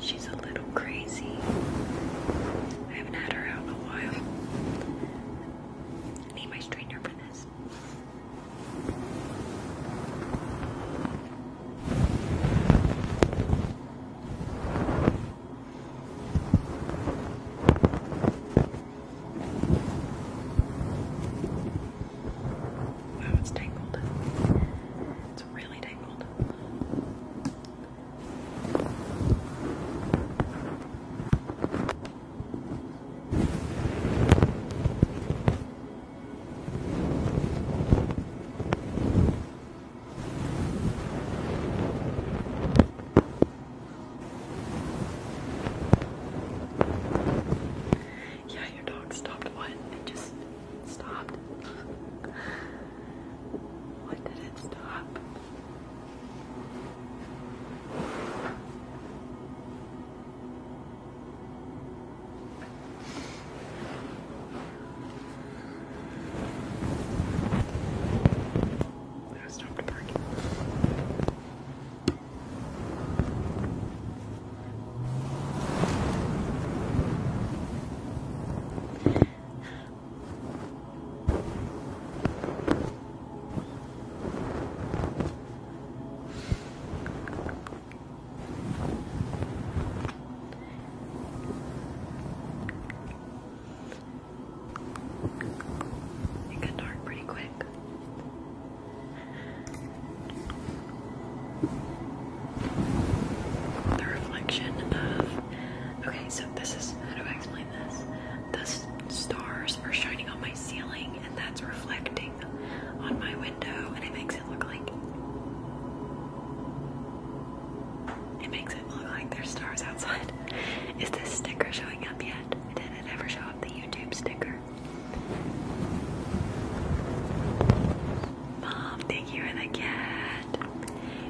She's a little crazy. I haven't had her out in a while. need my strainer for this. Wow, it's tangled. Yeah, your dog stopped what? just stopped? when did it stop? I stopped parking. It got dark pretty quick the reflection of. Okay, so this is how do I explain this? The stars are shining on my ceiling, and that's reflecting on my window, and it makes it look like it makes it look like there's stars outside. Is this sticker showing up yet? Did it ever show up the YouTube sticker? Mom, thank you for the gift.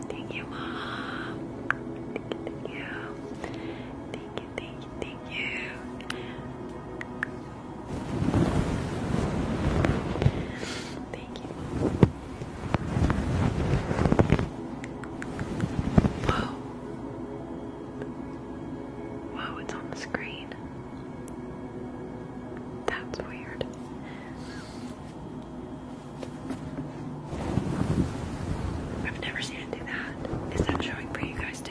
Thank you, Mom. Thank you, thank you. Thank you, thank you, thank you. Thank you, it's on the screen. That's weird. I've never seen it do that. Is that showing for you guys too?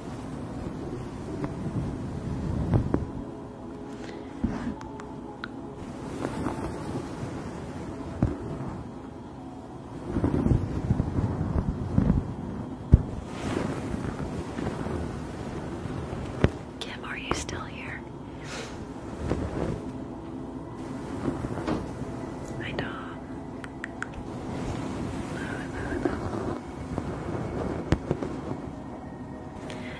Kim, are you still here? I know.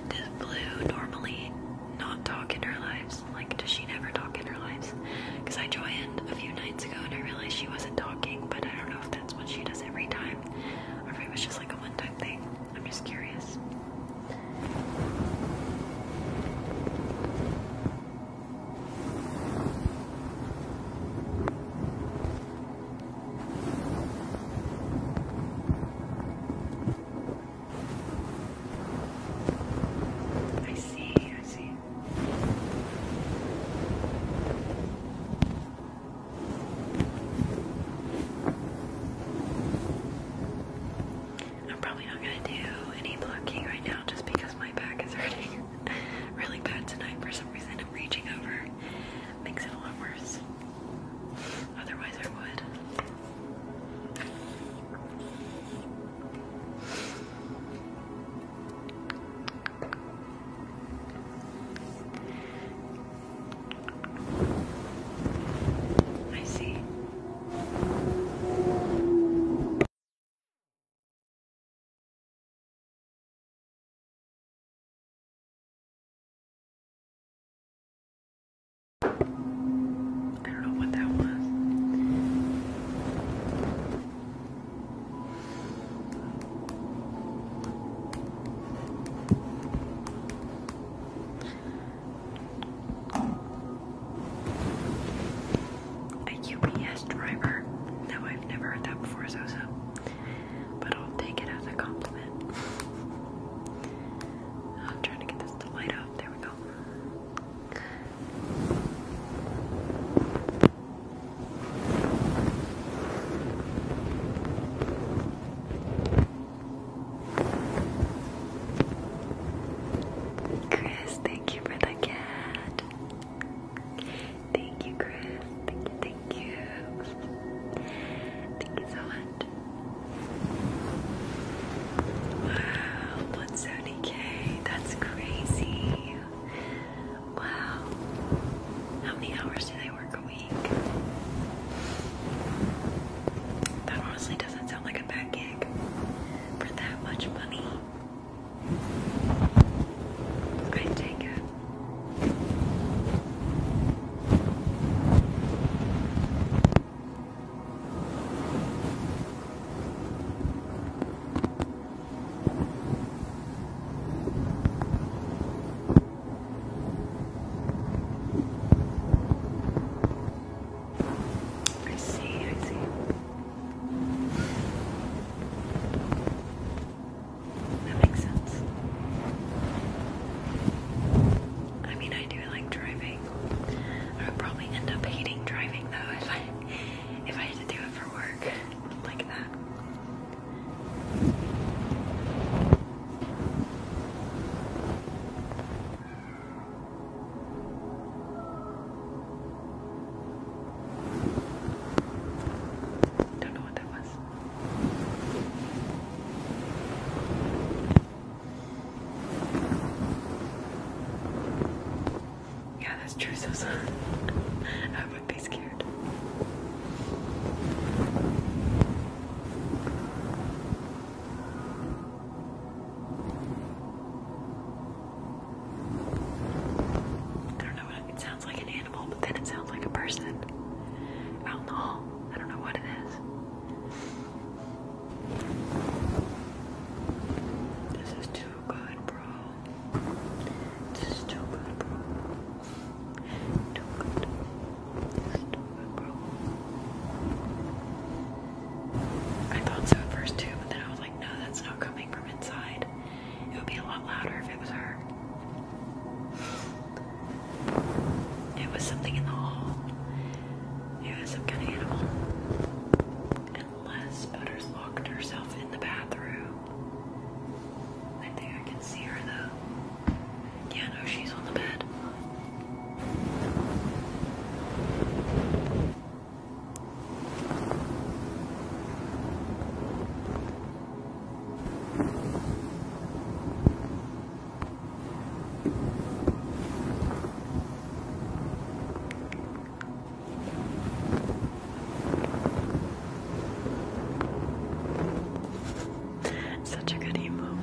Does Blue normally not talk in her lives? Like, does she never talk in her lives? Because I joined a few nights ago and I realized she wasn't talking, but I don't know if that's what she does every time or if it was just like a one time thing. I'm just curious. I see, I see. I'm probably not going to do any blocking right now just because my back is hurting really bad tonight for some reason reaching over makes it a lot worse. Otherwise, I would. I see. I don't know what that was. A UPS driver? No, I've never heard that before, Zosa but I'll take it as a compliment. I'm trying to get this to light up. There we go. Chris, thank you for the cat. Thank you, Chris. Thank you, thank you. Thank you so much. Wow, 170k. That's crazy. Wow. How many hours do they work a week? That honestly doesn't sound like a bad gig for that much money. I take it. I see, I see. That makes sense. I mean, I do like driving. I would probably end up hating driving though if I if I had to do it for work like that. Don't know what that was. Yeah, that's true, Sosa. I would be scared. I don't know it sounds like an but then it sounds like a person out in the hall. I don't know what it is. This is too good, bro. This is too good, bro. Too good. too good, bro. I thought so at first too, but then I was like, no, that's not coming from inside. It would be a lot louder if it was her. It was something in the hall. It was some kind of animal. Unless Butters locked herself in the bathroom. I think I can see her though. Yeah, no, she's on the bed. Such a good emote.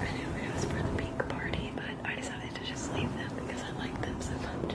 I know it was for the pink party, but I decided to just leave them because I like them so much.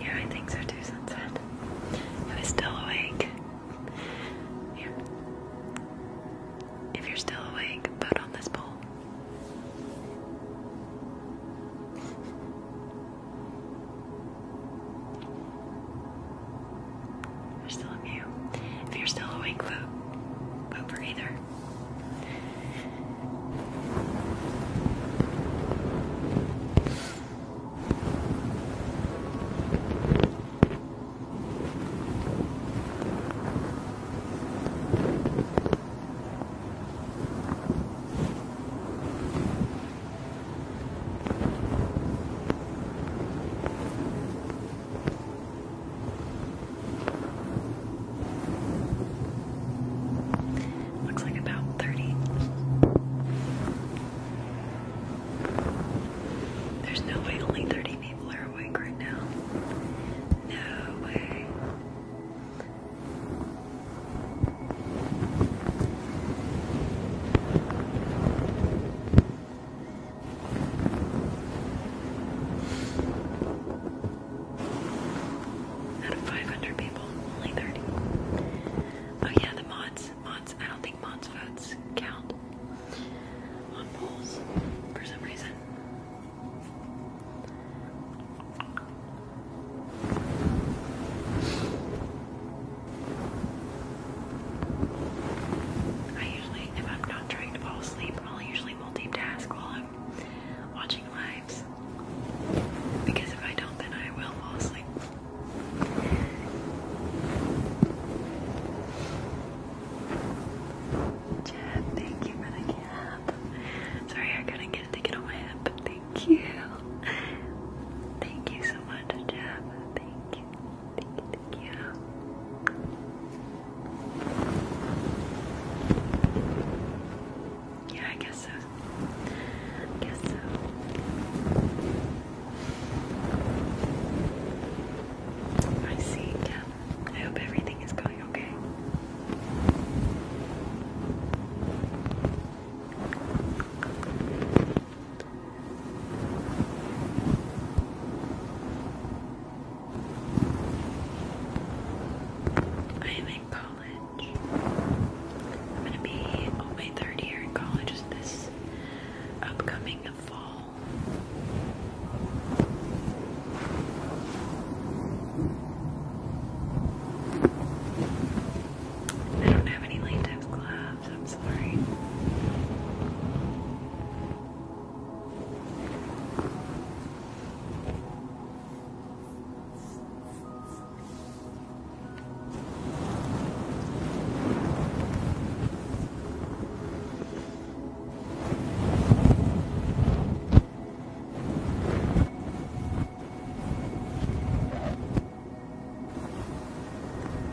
Yeah, I think so too, Sunset. I was still awake. If you're still awake, vote on this poll. There's still a few. If you're still awake, vote. Vote for either. Looks like about 30. There's no way only 30 people are awake right now. No way. Out of 500 people, only 30. Oh yeah, the mods. Mods. I don't think mods votes count on polls for some reason. I usually, if I'm not trying to fall asleep, I'll usually usually multitask while I'm watching lives. Because if I don't, then I will fall asleep. Jeff, thank you for the cap. Sorry, I couldn't get it to on my head, thank you. Thank you so much, Jeff. Thank you, Thank Yeah, I guess so. guess so. I see, yeah. I hope everything is going okay. I am in college. I'm gonna be my third year in college this upcoming fall. I don't have any latex gloves, I'm sorry.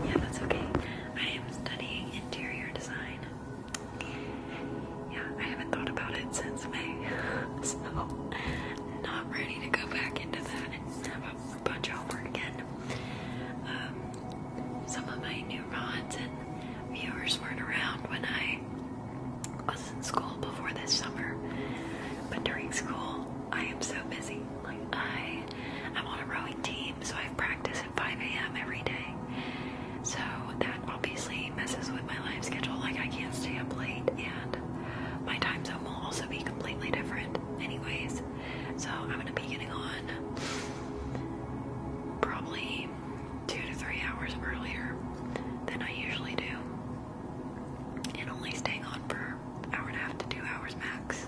Yeah, that's okay. I am studying interior design. Yeah, I haven't thought about it since May, so not ready to go back into that and have a bunch of homework again. Um, some of my new rods and viewers weren't around when I was in school before this summer, but during school I am so busy. Like I, I'm on a rowing team, so I practice at 5 a.m. every day. So that obviously messes with my life schedule. Like, I can't stay up late, and my time zone will also be completely different, anyways. So, I'm gonna be getting on probably two to three hours earlier than I usually do, and only staying on for an hour and a half to two hours max.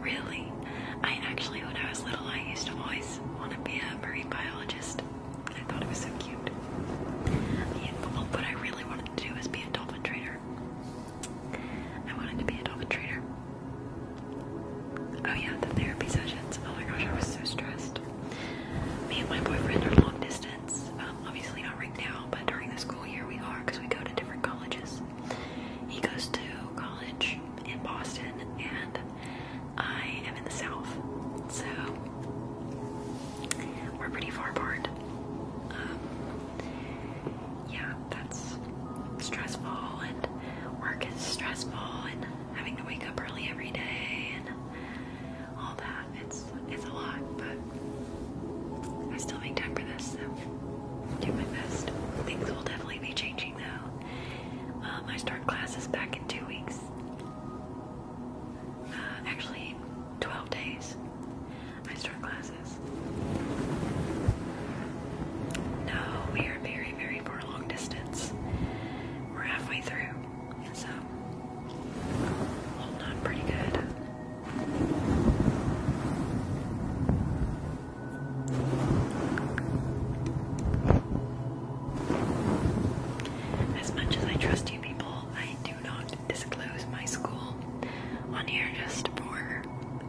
Really? I actually, when I was little, I used to always want to be a marine biologist. I thought it was so cute. Yeah, I really wanted to do was be a dolphin trader. I wanted to be a dolphin trader. Oh yeah, the therapy sessions. Oh my gosh, I was so stressed. Me and my boyfriend are long distance. Um, obviously not right now, but during the school year we are we go to different colleges. He goes to college in Boston, and I am in the south, so we're pretty far apart. Um, yeah, that's stressful, and work is stressful, and having to wake up early every day, and all that. It's it's a lot, but I still make time for this. So do my best. Things will definitely be changing now. Um, I start classes back in two weeks. Uh, actually, 12 days. I start classes. No, we are very, very far long distance. We're halfway through, and so holding on pretty good. As much as I trust you people, I do not disclose my school on here just for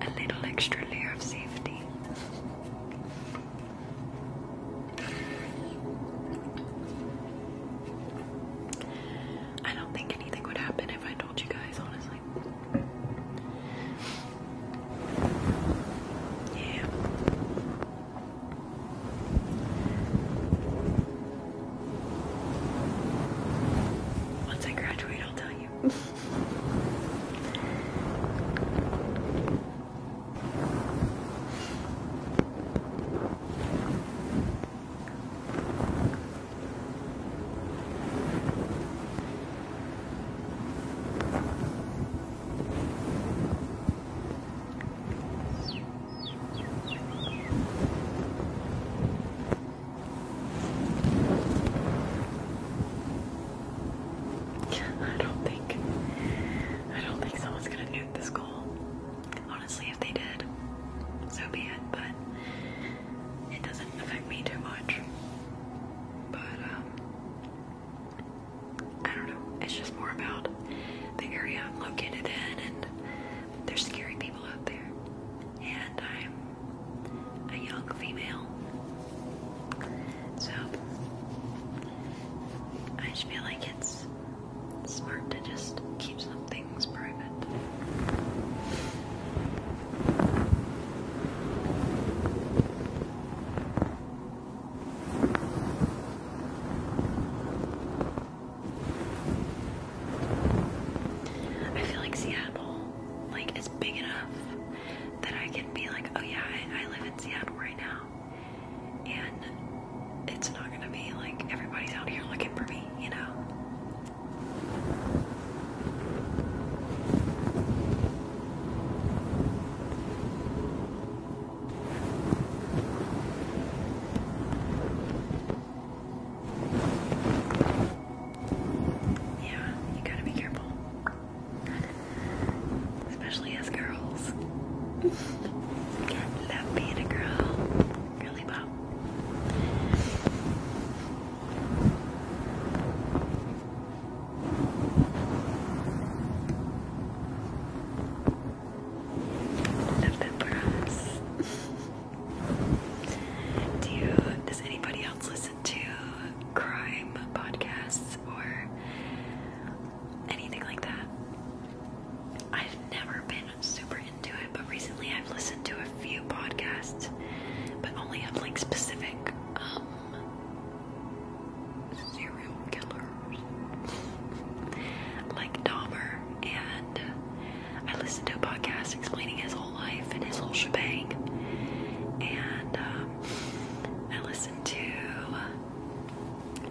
a little extra layer of safety. I don't think anything would happen if I told you guys, honestly. Yeah. Once I graduate, I'll tell you. I don't think I don't think someone's gonna nuke this goal. Honestly, if they did, so be it, but it doesn't affect me too much. But um I don't know. It's just more about the area I'm located in, and there's scary people out there. And I'm a young female, so I just feel like it's smart to just keep some things private. I feel like Seattle, like, is big enough that I can be like, oh yeah, I, live in Seattle right now, and it's not gonna be like everybody's out here looking for me, you know. Yeah, you gotta be careful. Especially as girls. love being a girl. Girly pop. Love that for us. Do does anybody else listen to crime podcasts or anything like that? I've never been super into it, but recently I've listened to a few podcasts, but only of like specific um, serial killers like Dahmer. And I listened to a podcast explaining his whole life and his whole shebang. And um, I listened to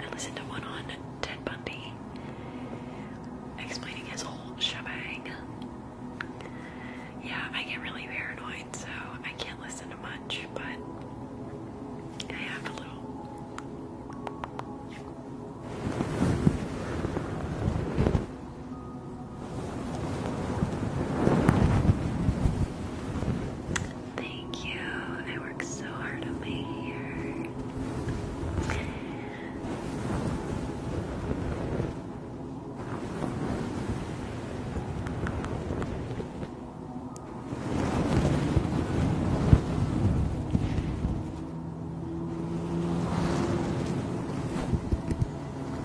I listened to one on Ted Bundy explaining his whole shebang. Yeah, I get really paranoid, so I can't listen to much. Thank you. I work so hard on my hair.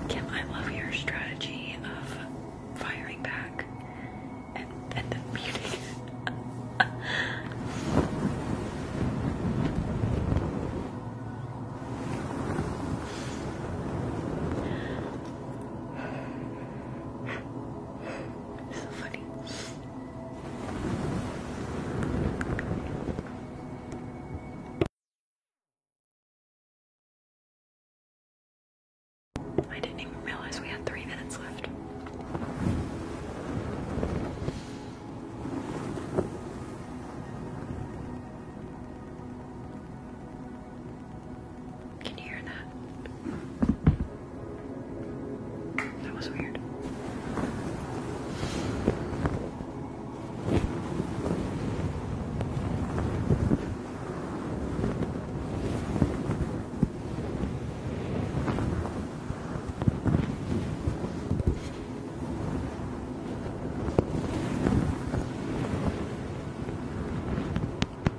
Kim, I love your strategy of firing back and, and then muting. So funny. I didn't even realize we had three minutes left. Can you hear that? That was weird.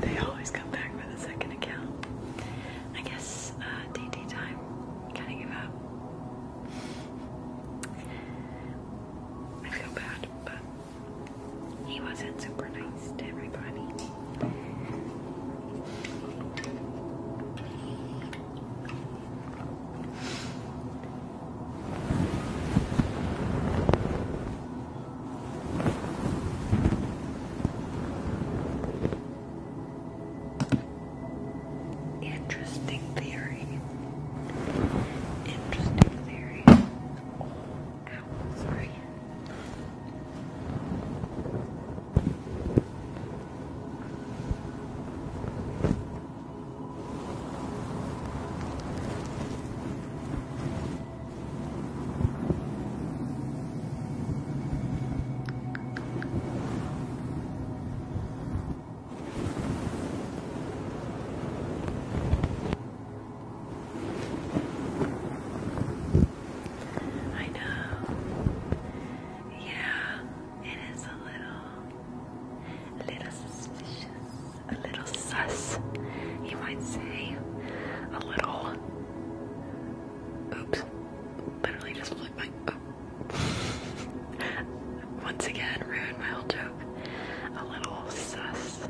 They always come back with a second account. I guess uh, d time. Kind of give up. I feel bad, but he wasn't super nice to everybody. Interesting theory. Interesting theory. Oh, sorry. I know. Yeah, it is a little, a little suspicious a little sus, you might say, a little. Oops, literally just flipped my. Oh. Once again, ruined my whole joke. A little sus.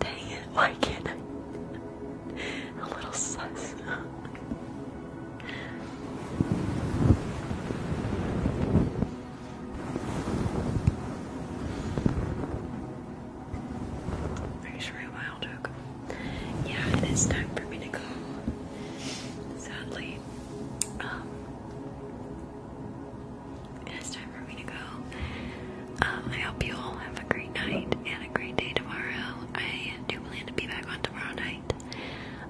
Dang it, why can't I? A little sus. Are you sure a while Yeah, it is time for me to go. Sadly. Um, it is time for me to go. Um, I hope you all have a great night and a great day tomorrow. I do plan to be back on tomorrow night.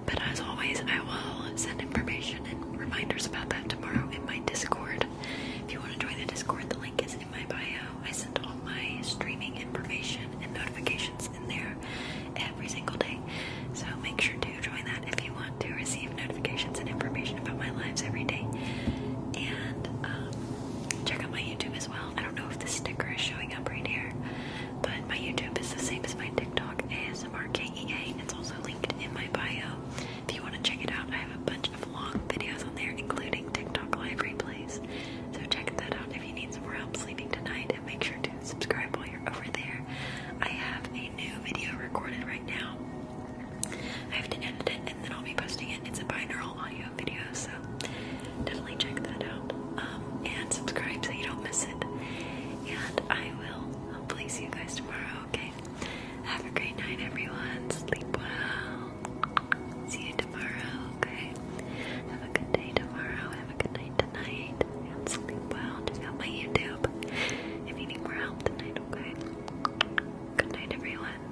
But as always, I will send information and reminders about that tomorrow in my Discord. If you want to join the Discord, the link is in my bio. I send all my streaming information and notifications in there every single day. So make sure to join that if you want to receive notifications and information about my lives every day. And um, check out my YouTube as well. I don't know if the sticker is showing up right here, but my YouTube is the same as my TikTok, ASMRKEA. It's also linked in my bio. If you want to check it out, I have a bunch long videos on there, including TikTok live replays. So check that out if you need some more help sleeping tonight, and make sure to subscribe while you're over there. I have a new video recorded right now. I have to edit it, and then I'll be posting it. It's a binaural audio video, so definitely check that out. Um, and subscribe so you don't miss it. And I will hopefully see you guys tomorrow. Okay. Have a great night, everyone. Sleep well. See you tomorrow, okay? Have a good day tomorrow. Have a good night tonight. sleep well. Check out my YouTube if you need more help tonight, okay? Good night, everyone.